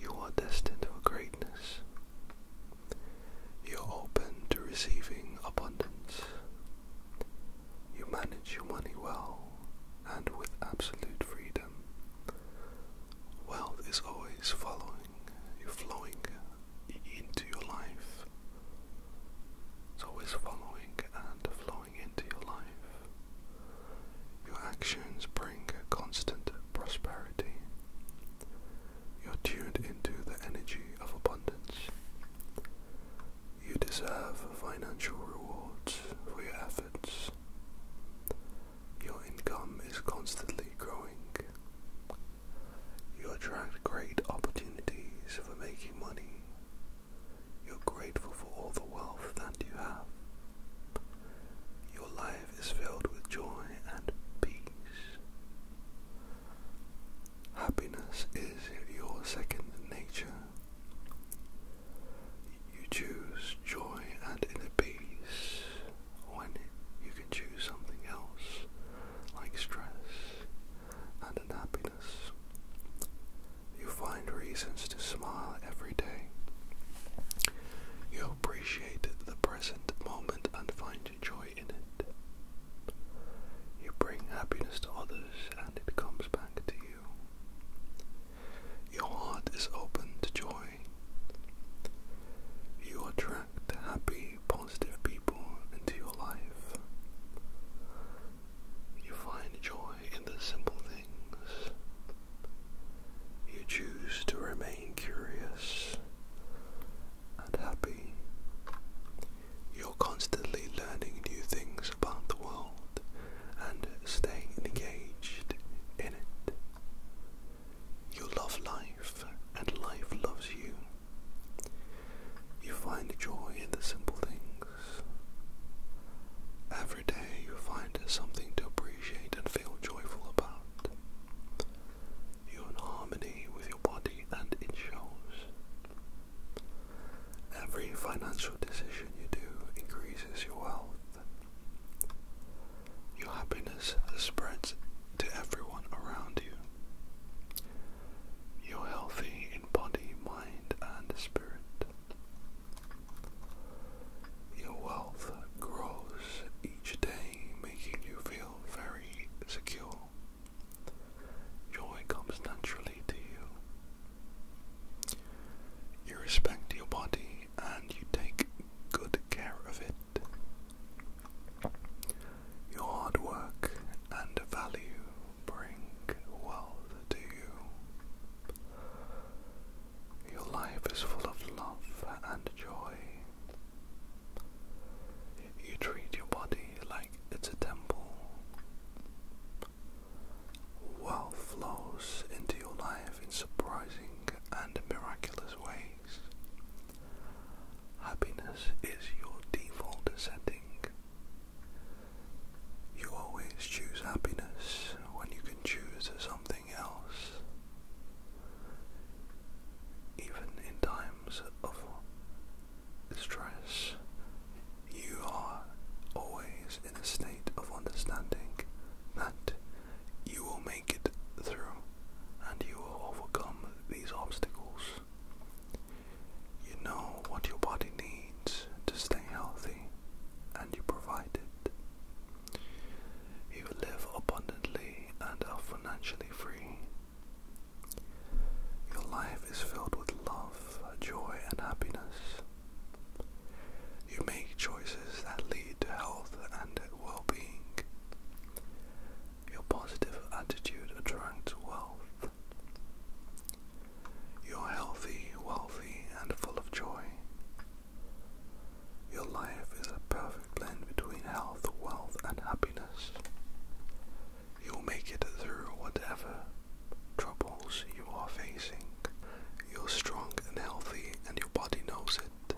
You are destined for greatness. You're open to receiving abundance. You manage your money well and with absolute freedom. Wealth is always following you, flowing into your life. It's always following and flowing into your life. Your actions bring constant prosperity. You're tuned into the energy of abundance. You deserve financial rewards for your efforts. Your income is constantly growing. You attract great opportunities for making money. You're grateful for all the wealth that you have. Your life is filled with joy and peace. Happiness is your second nature. You choose joy and inner peace when you can choose something else, like stress and unhappiness. You find reasons to smile every day. You appreciate the present moment and find find joy in it. You bring happiness to others and it comes back to you. Your heart is open to joy. You attract happy, positive people into your life. You find joy in the simple things. You choose to remain curious and happy. You're constantly learning new things about the world and staying engaged in it. You love life and life loves you. You find joy in the simple things. Every day you find something to appreciate and feel joyful about. You're in harmony with your body and it shows. Every financial decision you do increases your wealth. Your happiness spreads to everyone around you. You're healthy in body, mind, and spirit. Your wealth grows each day, making you feel very secure. Joy comes naturally to you. You respect your body and you take good care of it. Your hard work and value bring wealth to you. Your life is full of love and joy. You treat your body like it's a temple. Wealth flows into your life in surprising and miraculous ways. Happiness is your default setting. You always choose happiness when you can choose something else. Even in times of stress, you are always in a state of understanding that you will make it through and you will overcome these obstacles. You know what your body needs to stay healthy and you provide it. You live abundantly and are financially free your life is filled with love, joy, and happiness. You make choices that lead to health and well being. Your positive attitude attracts wealth. You're healthy, wealthy, and full of joy. Your life is a perfect blend between health, wealth, and happiness. You'll make it through whatever troubles you are facing. You're strong and healthy, and your body knows it.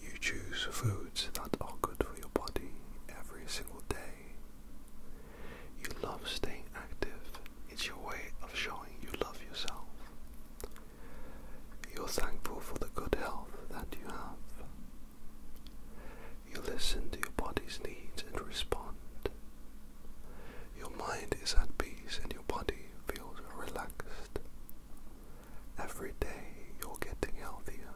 You choose foods that are good for your body every single day. You love staying active, it's your way of showing you love yourself. You're thankful for the good health that you have. You listen to your body's needs and respond. Your mind is at peace and your body feels relaxed. Every day you're getting healthier.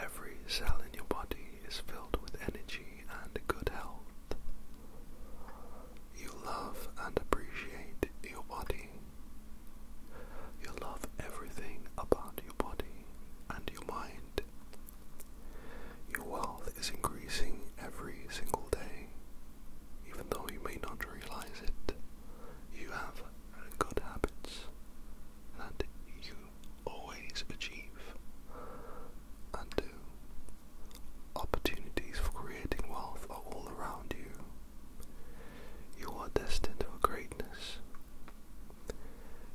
Every cell in your body is filled with energy and good health. You love and appreciate your body. You love everything about you your body, and your mind. Your wealth is increasing every single day. Even though you may not realize it, you have good habits and you always achieve and do. Opportunities for creating wealth are all around you. You are destined for greatness.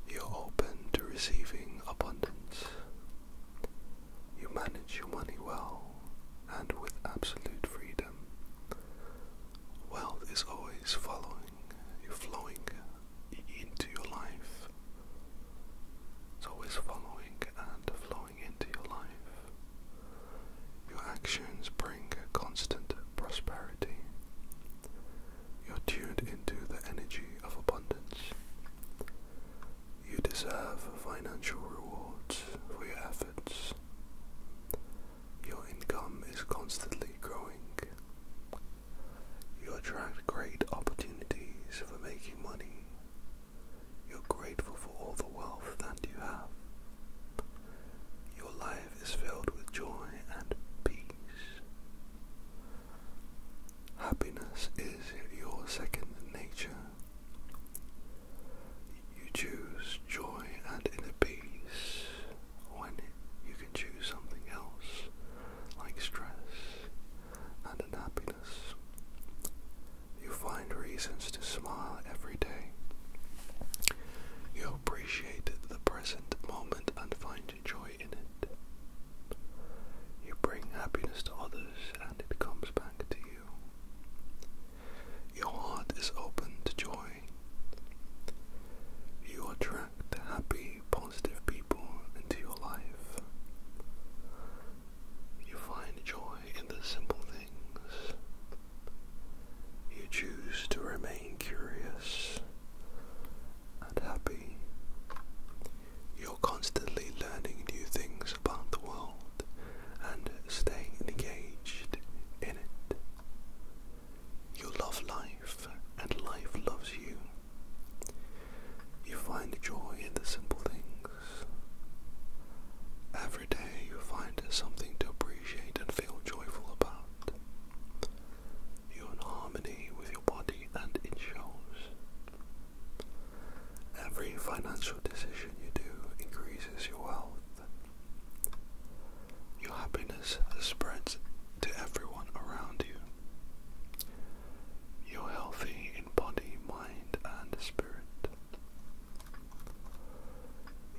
You're open to receiving abundance. You manage your money well and with absolute freedom. Wealth is always following you, flowing into your life. It's always following and flowing into your life. Your actions bring constant prosperity. You're tuned into the energy of abundance. You deserve financial rewards for your efforts. Your income is constantly growing. You attract great opportunities for making money. You're grateful for all the wealth that you have. Your life is filled with joy and peace. Happiness is your second nature. You choose joy and inner peace when you can choose something else like stress and unhappiness. You find reasons to smile every day. You appreciate the present moment and find and joy in it. You bring happiness to others and it comes back to you. Your heart is open to joy. You attract happy, positive people into your life. You find joy in the simple things. You choose to remain curious and happy. You're constantly learning new things about the world and staying engaged in it. You love life and life loves you. You find joy in the simple things. Every day you find something to appreciate and feel joyful about. You're in harmony with your body and it shows. Every financial decision you do increases your wealth. Your happiness spreads to everyone around you. You're healthy in body, mind, and spirit.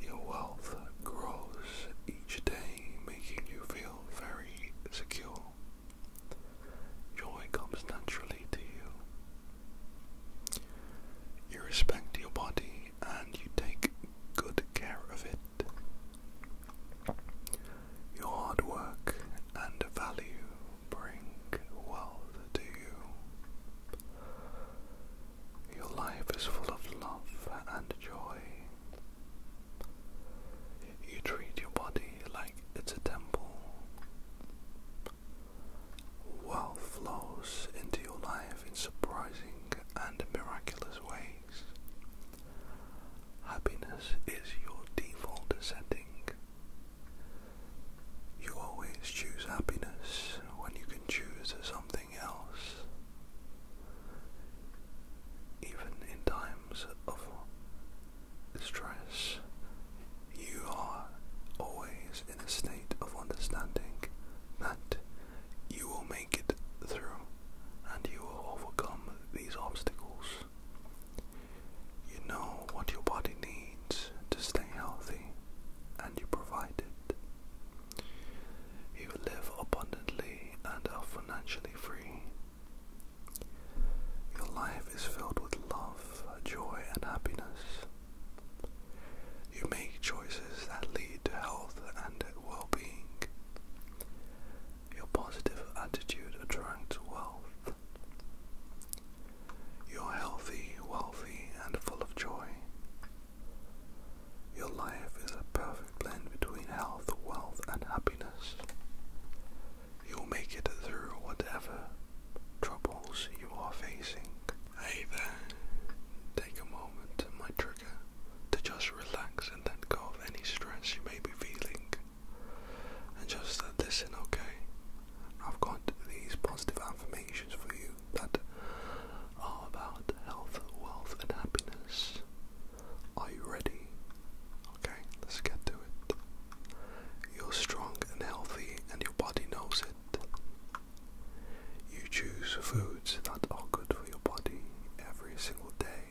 Your wealth grows each day making you feel very secure. Joy comes naturally to you. You respect your body and you take good care of it. Your hard work and value bring wealth to you. Your life is full of love and joy. You treat your body like it's a temple. Wealth flows into your life in surprising and miraculous ways. Happiness is your default setting. You always choose happiness when you can choose something else. Even in times of stress, you are always in a state of understanding that you will make it through and you will overcome these obstacles. You know what your body needs to stay healthy and you provide it. You live abundantly and are financially free your life is filled with love, joy, and happiness. You make choices that lead to health and well being. Your positive attitude attracts wealth. You're healthy, wealthy, and full of joy. Your life is a perfect blend between health, wealth, and happiness. You'll make it through whatever troubles you are facing. Hey there, take a moment, my trigger, to just relax and let go of any stress you may be feeling. And just listen, okay? I've got these positive affirmations for you that are about health, wealth, and happiness. Are you ready? Okay, let's get to it. You're strong and healthy, and your body knows it. You choose foods that are good for your body every single day.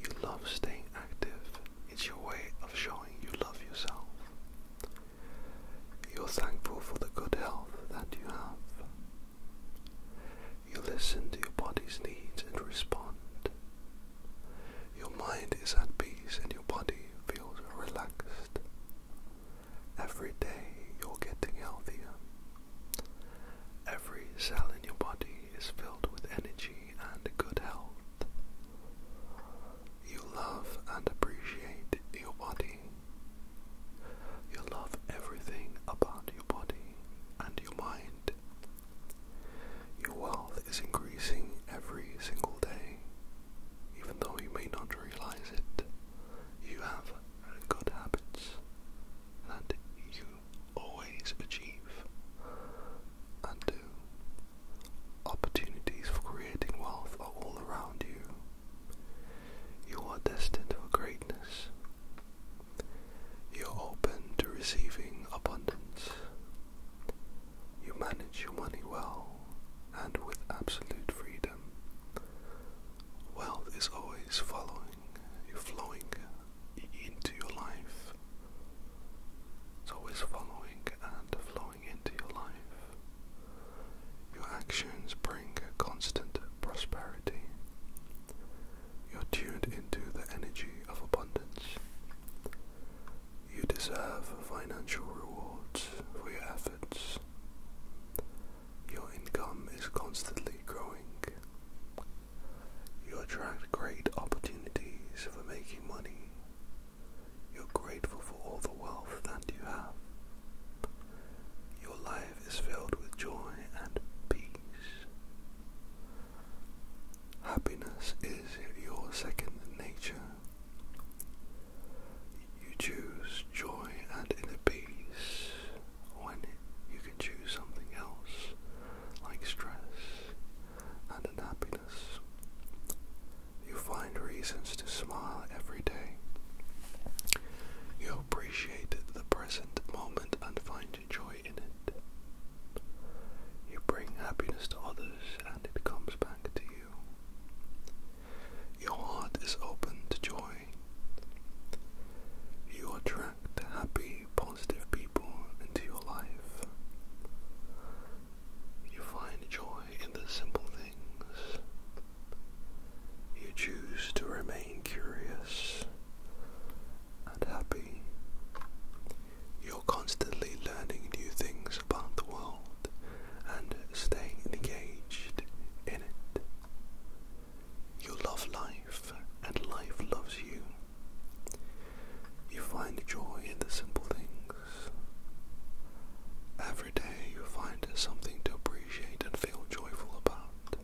You love staying active, it's your way of showing you love yourself. You're thankful for the good health that you have. You listen to your body's needs and respond. Your mind is at peace and your body feels relaxed. Every day you're getting healthier. Every cell in your body is filled with energy and good health. You love and appreciate your body. You love everything about your body and your mind. Your wealth is increasing every single day. Even though you may not realize it, you have good habits that you always achieve and do. Opportunities for creating wealth are all around you. You are destined for greatness. You're open to receiving abundance. You manage your money well and with absolute freedom. Wealth is always following you, flowing into your life. It's always following and flowing into your life. Your actions bring constant prosperity. You're tuned into the energy of abundance. You deserve financial rewards for your efforts. Your income is constantly growing. You attract great opportunities for making money. You're grateful for all the wealth that you have. Your life is filled with joy and peace. Happiness is your second nature. You choose joy and inner peace when you can choose something else, like stress and unhappiness. You find reasons to smile every day. You appreciate the present moment and find joy you bring happiness to others and it comes back to you. Your heart is open to joy. You attract happy, positive people into your life. You find joy in the simple things. You choose to remain curious and happy. You're constantly learning new things about the world and staying engaged in it. You love life and life loves you. You find joy in the simple things. Every day you find something to appreciate and feel joyful about.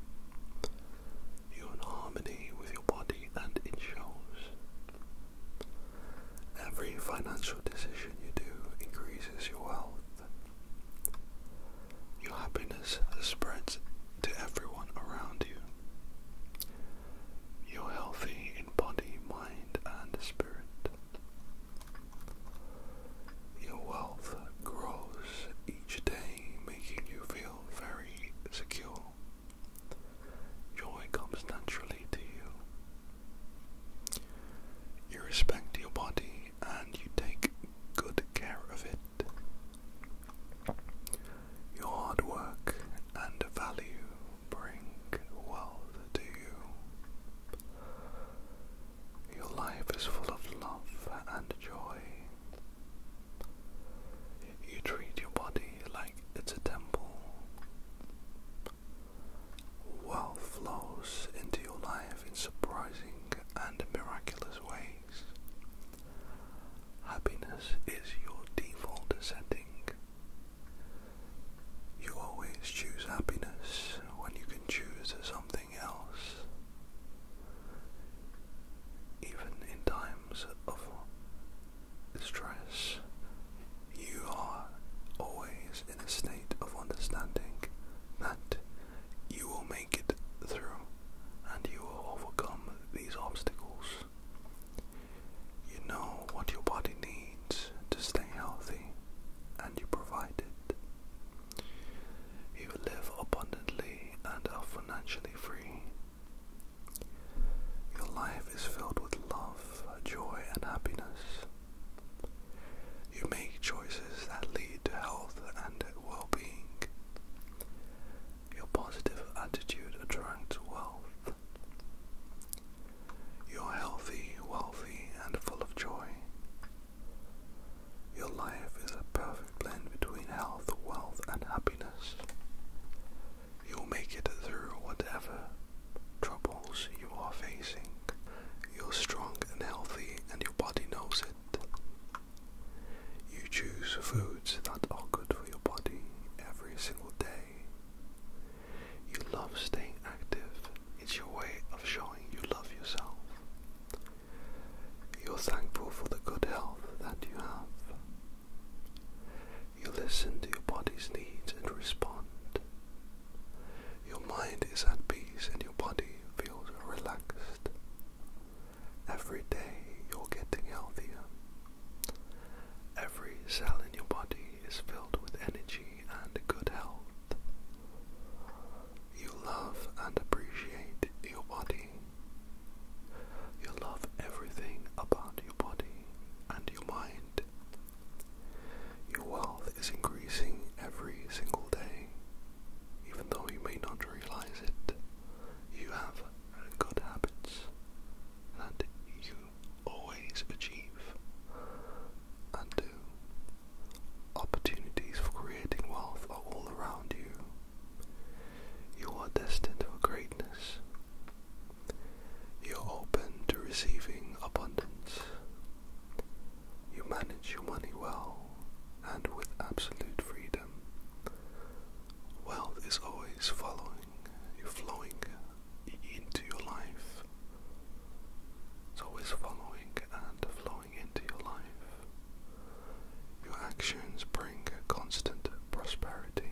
You're in harmony with your body and it shows. Every financial decision you do increases your wealth. Your happiness spreads to everyone around you. You're healthy in body, mind, and spirit. Your wealth grows each day, making you feel very secure. Joy comes naturally to you. You respect your body and you take good care of it. Your hard work and value bring wealth to you. Your life is full of love and joy. You treat your body like it's a temple. Wealth flows into your life in surprising and miraculous ways. Happiness is your default setting. You always choose happiness when you can choose something else. Even in times of stress, you are always in a state of understanding that you will make it through and you will overcome these obstacles. You know what your body needs to stay healthy and you provide it. You live abundantly and are financially free your life is filled with love, joy, and happiness. You make choices that lead to health and well being. Your positive attitude attracts wealth. You're healthy, wealthy, and full of joy. Your life is a perfect blend between health, wealth, and happiness. You'll make it through whatever troubles you are facing. You're strong and healthy, and your body knows it. You choose foods that are good for your body every single day. You love staying active, it's your way of showing you love yourself. You're thankful for the good health that you have. You listen to your body's needs and respond. Your mind is at peace and your body feels relaxed. Every day you're getting healthier. Every cell in your body is filled with energy and good health. You love and appreciate your body. You love everything about your body and your mind. Your wealth is increasing every single day. Even though you may not realize it, you have good habits that you always achieve and do. Opportunities for creating wealth are all around you. You are destined for greatness, you're open to receiving abundance. You manage your money well and with absolute freedom. Wealth is always following you, flowing into your life. It's always following and flowing into your life. Your actions bring a constant prosperity.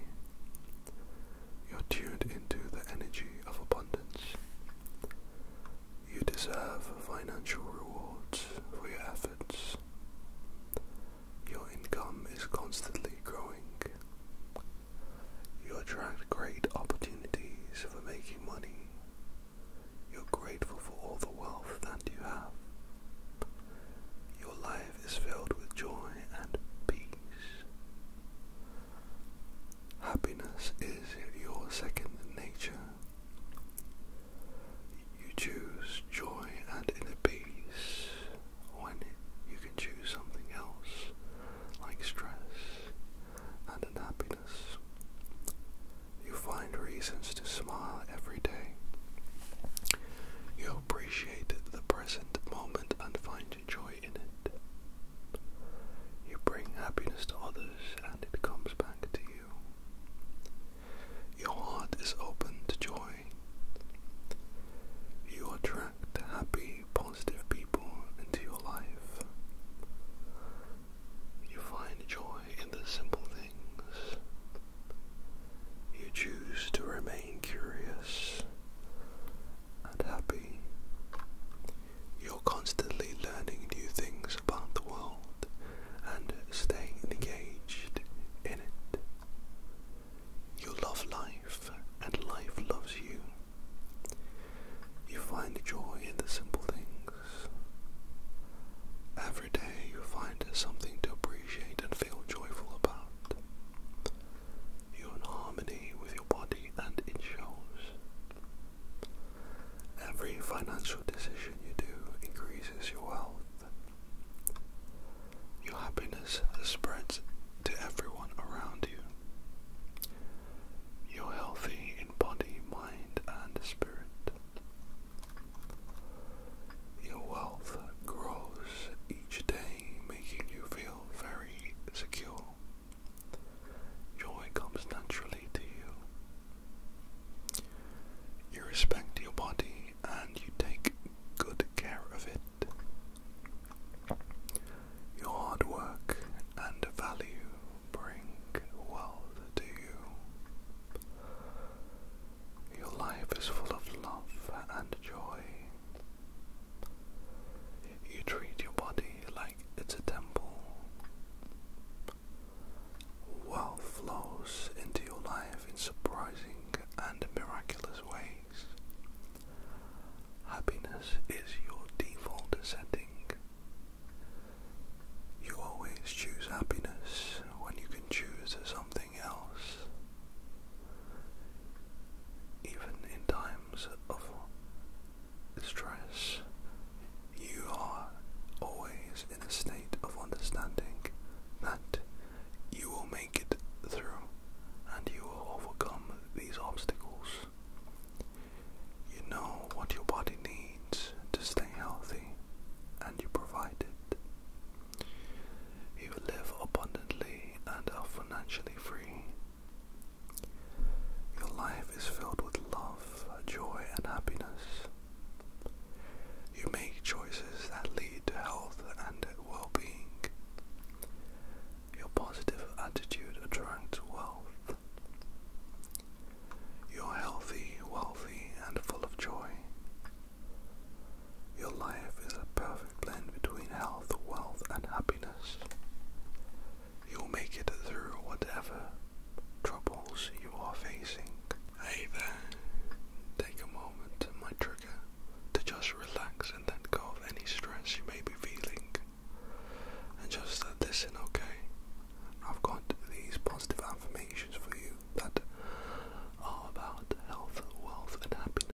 You're tuned into the energy of abundance. You deserve financial rewards for your efforts. Your income is constantly growing. You attract great opportunities for making money. You're grateful for all the wealth that you have. Your life is filled with joy and peace. Happiness is your second nature. You choose joy and inner peace when you can choose something else like stress and unhappiness. You find reasons to smile every day. You appreciate the present moment and find joy in it. You bring happiness to others and it comes back to you. Your heart is open to joy. You attract happy, positive people into your life. You find joy in the simple things you choose to remain curious and happy. You're constantly learning new things about the world and staying engaged in it. You love life and life loves you. You find joy in the simple things. Every day you find something to appreciate and feel joyful about. You're in harmony with your body and it shows. Every financial decision you do increases your wealth. Your happiness spreads to everyone around you. You're healthy in body, mind, and spirit. Your wealth grows each day making you feel very secure. Joy comes naturally to you. You respect your body and you take good care of it. Your hard work and value bring wealth to you. Your life is full of love and joy. You treat your body like it's a temple. Wealth flows into your life in surprising and miraculous ways. Happiness is your default setting. You always choose happiness when you can choose something else. Even in times of stress, you are always in a state of understanding that you will make it through and you will overcome these obstacles. You know what your body needs to stay healthy and you provide it. You live abundantly and are financially free. Your life is filled with love, joy, and happiness. You make choices that lead to health and well being. Your positive attitude attracts wealth. You're healthy, wealthy, and full of joy. Your life is a perfect blend between health, wealth, and happiness. You'll make it through whatever troubles you are facing. Hey there, take a moment, my trigger, to just relax and let go of any stress you may be feeling. And just listen, okay? I've got these positive affirmations for you that are about health, wealth, and happiness.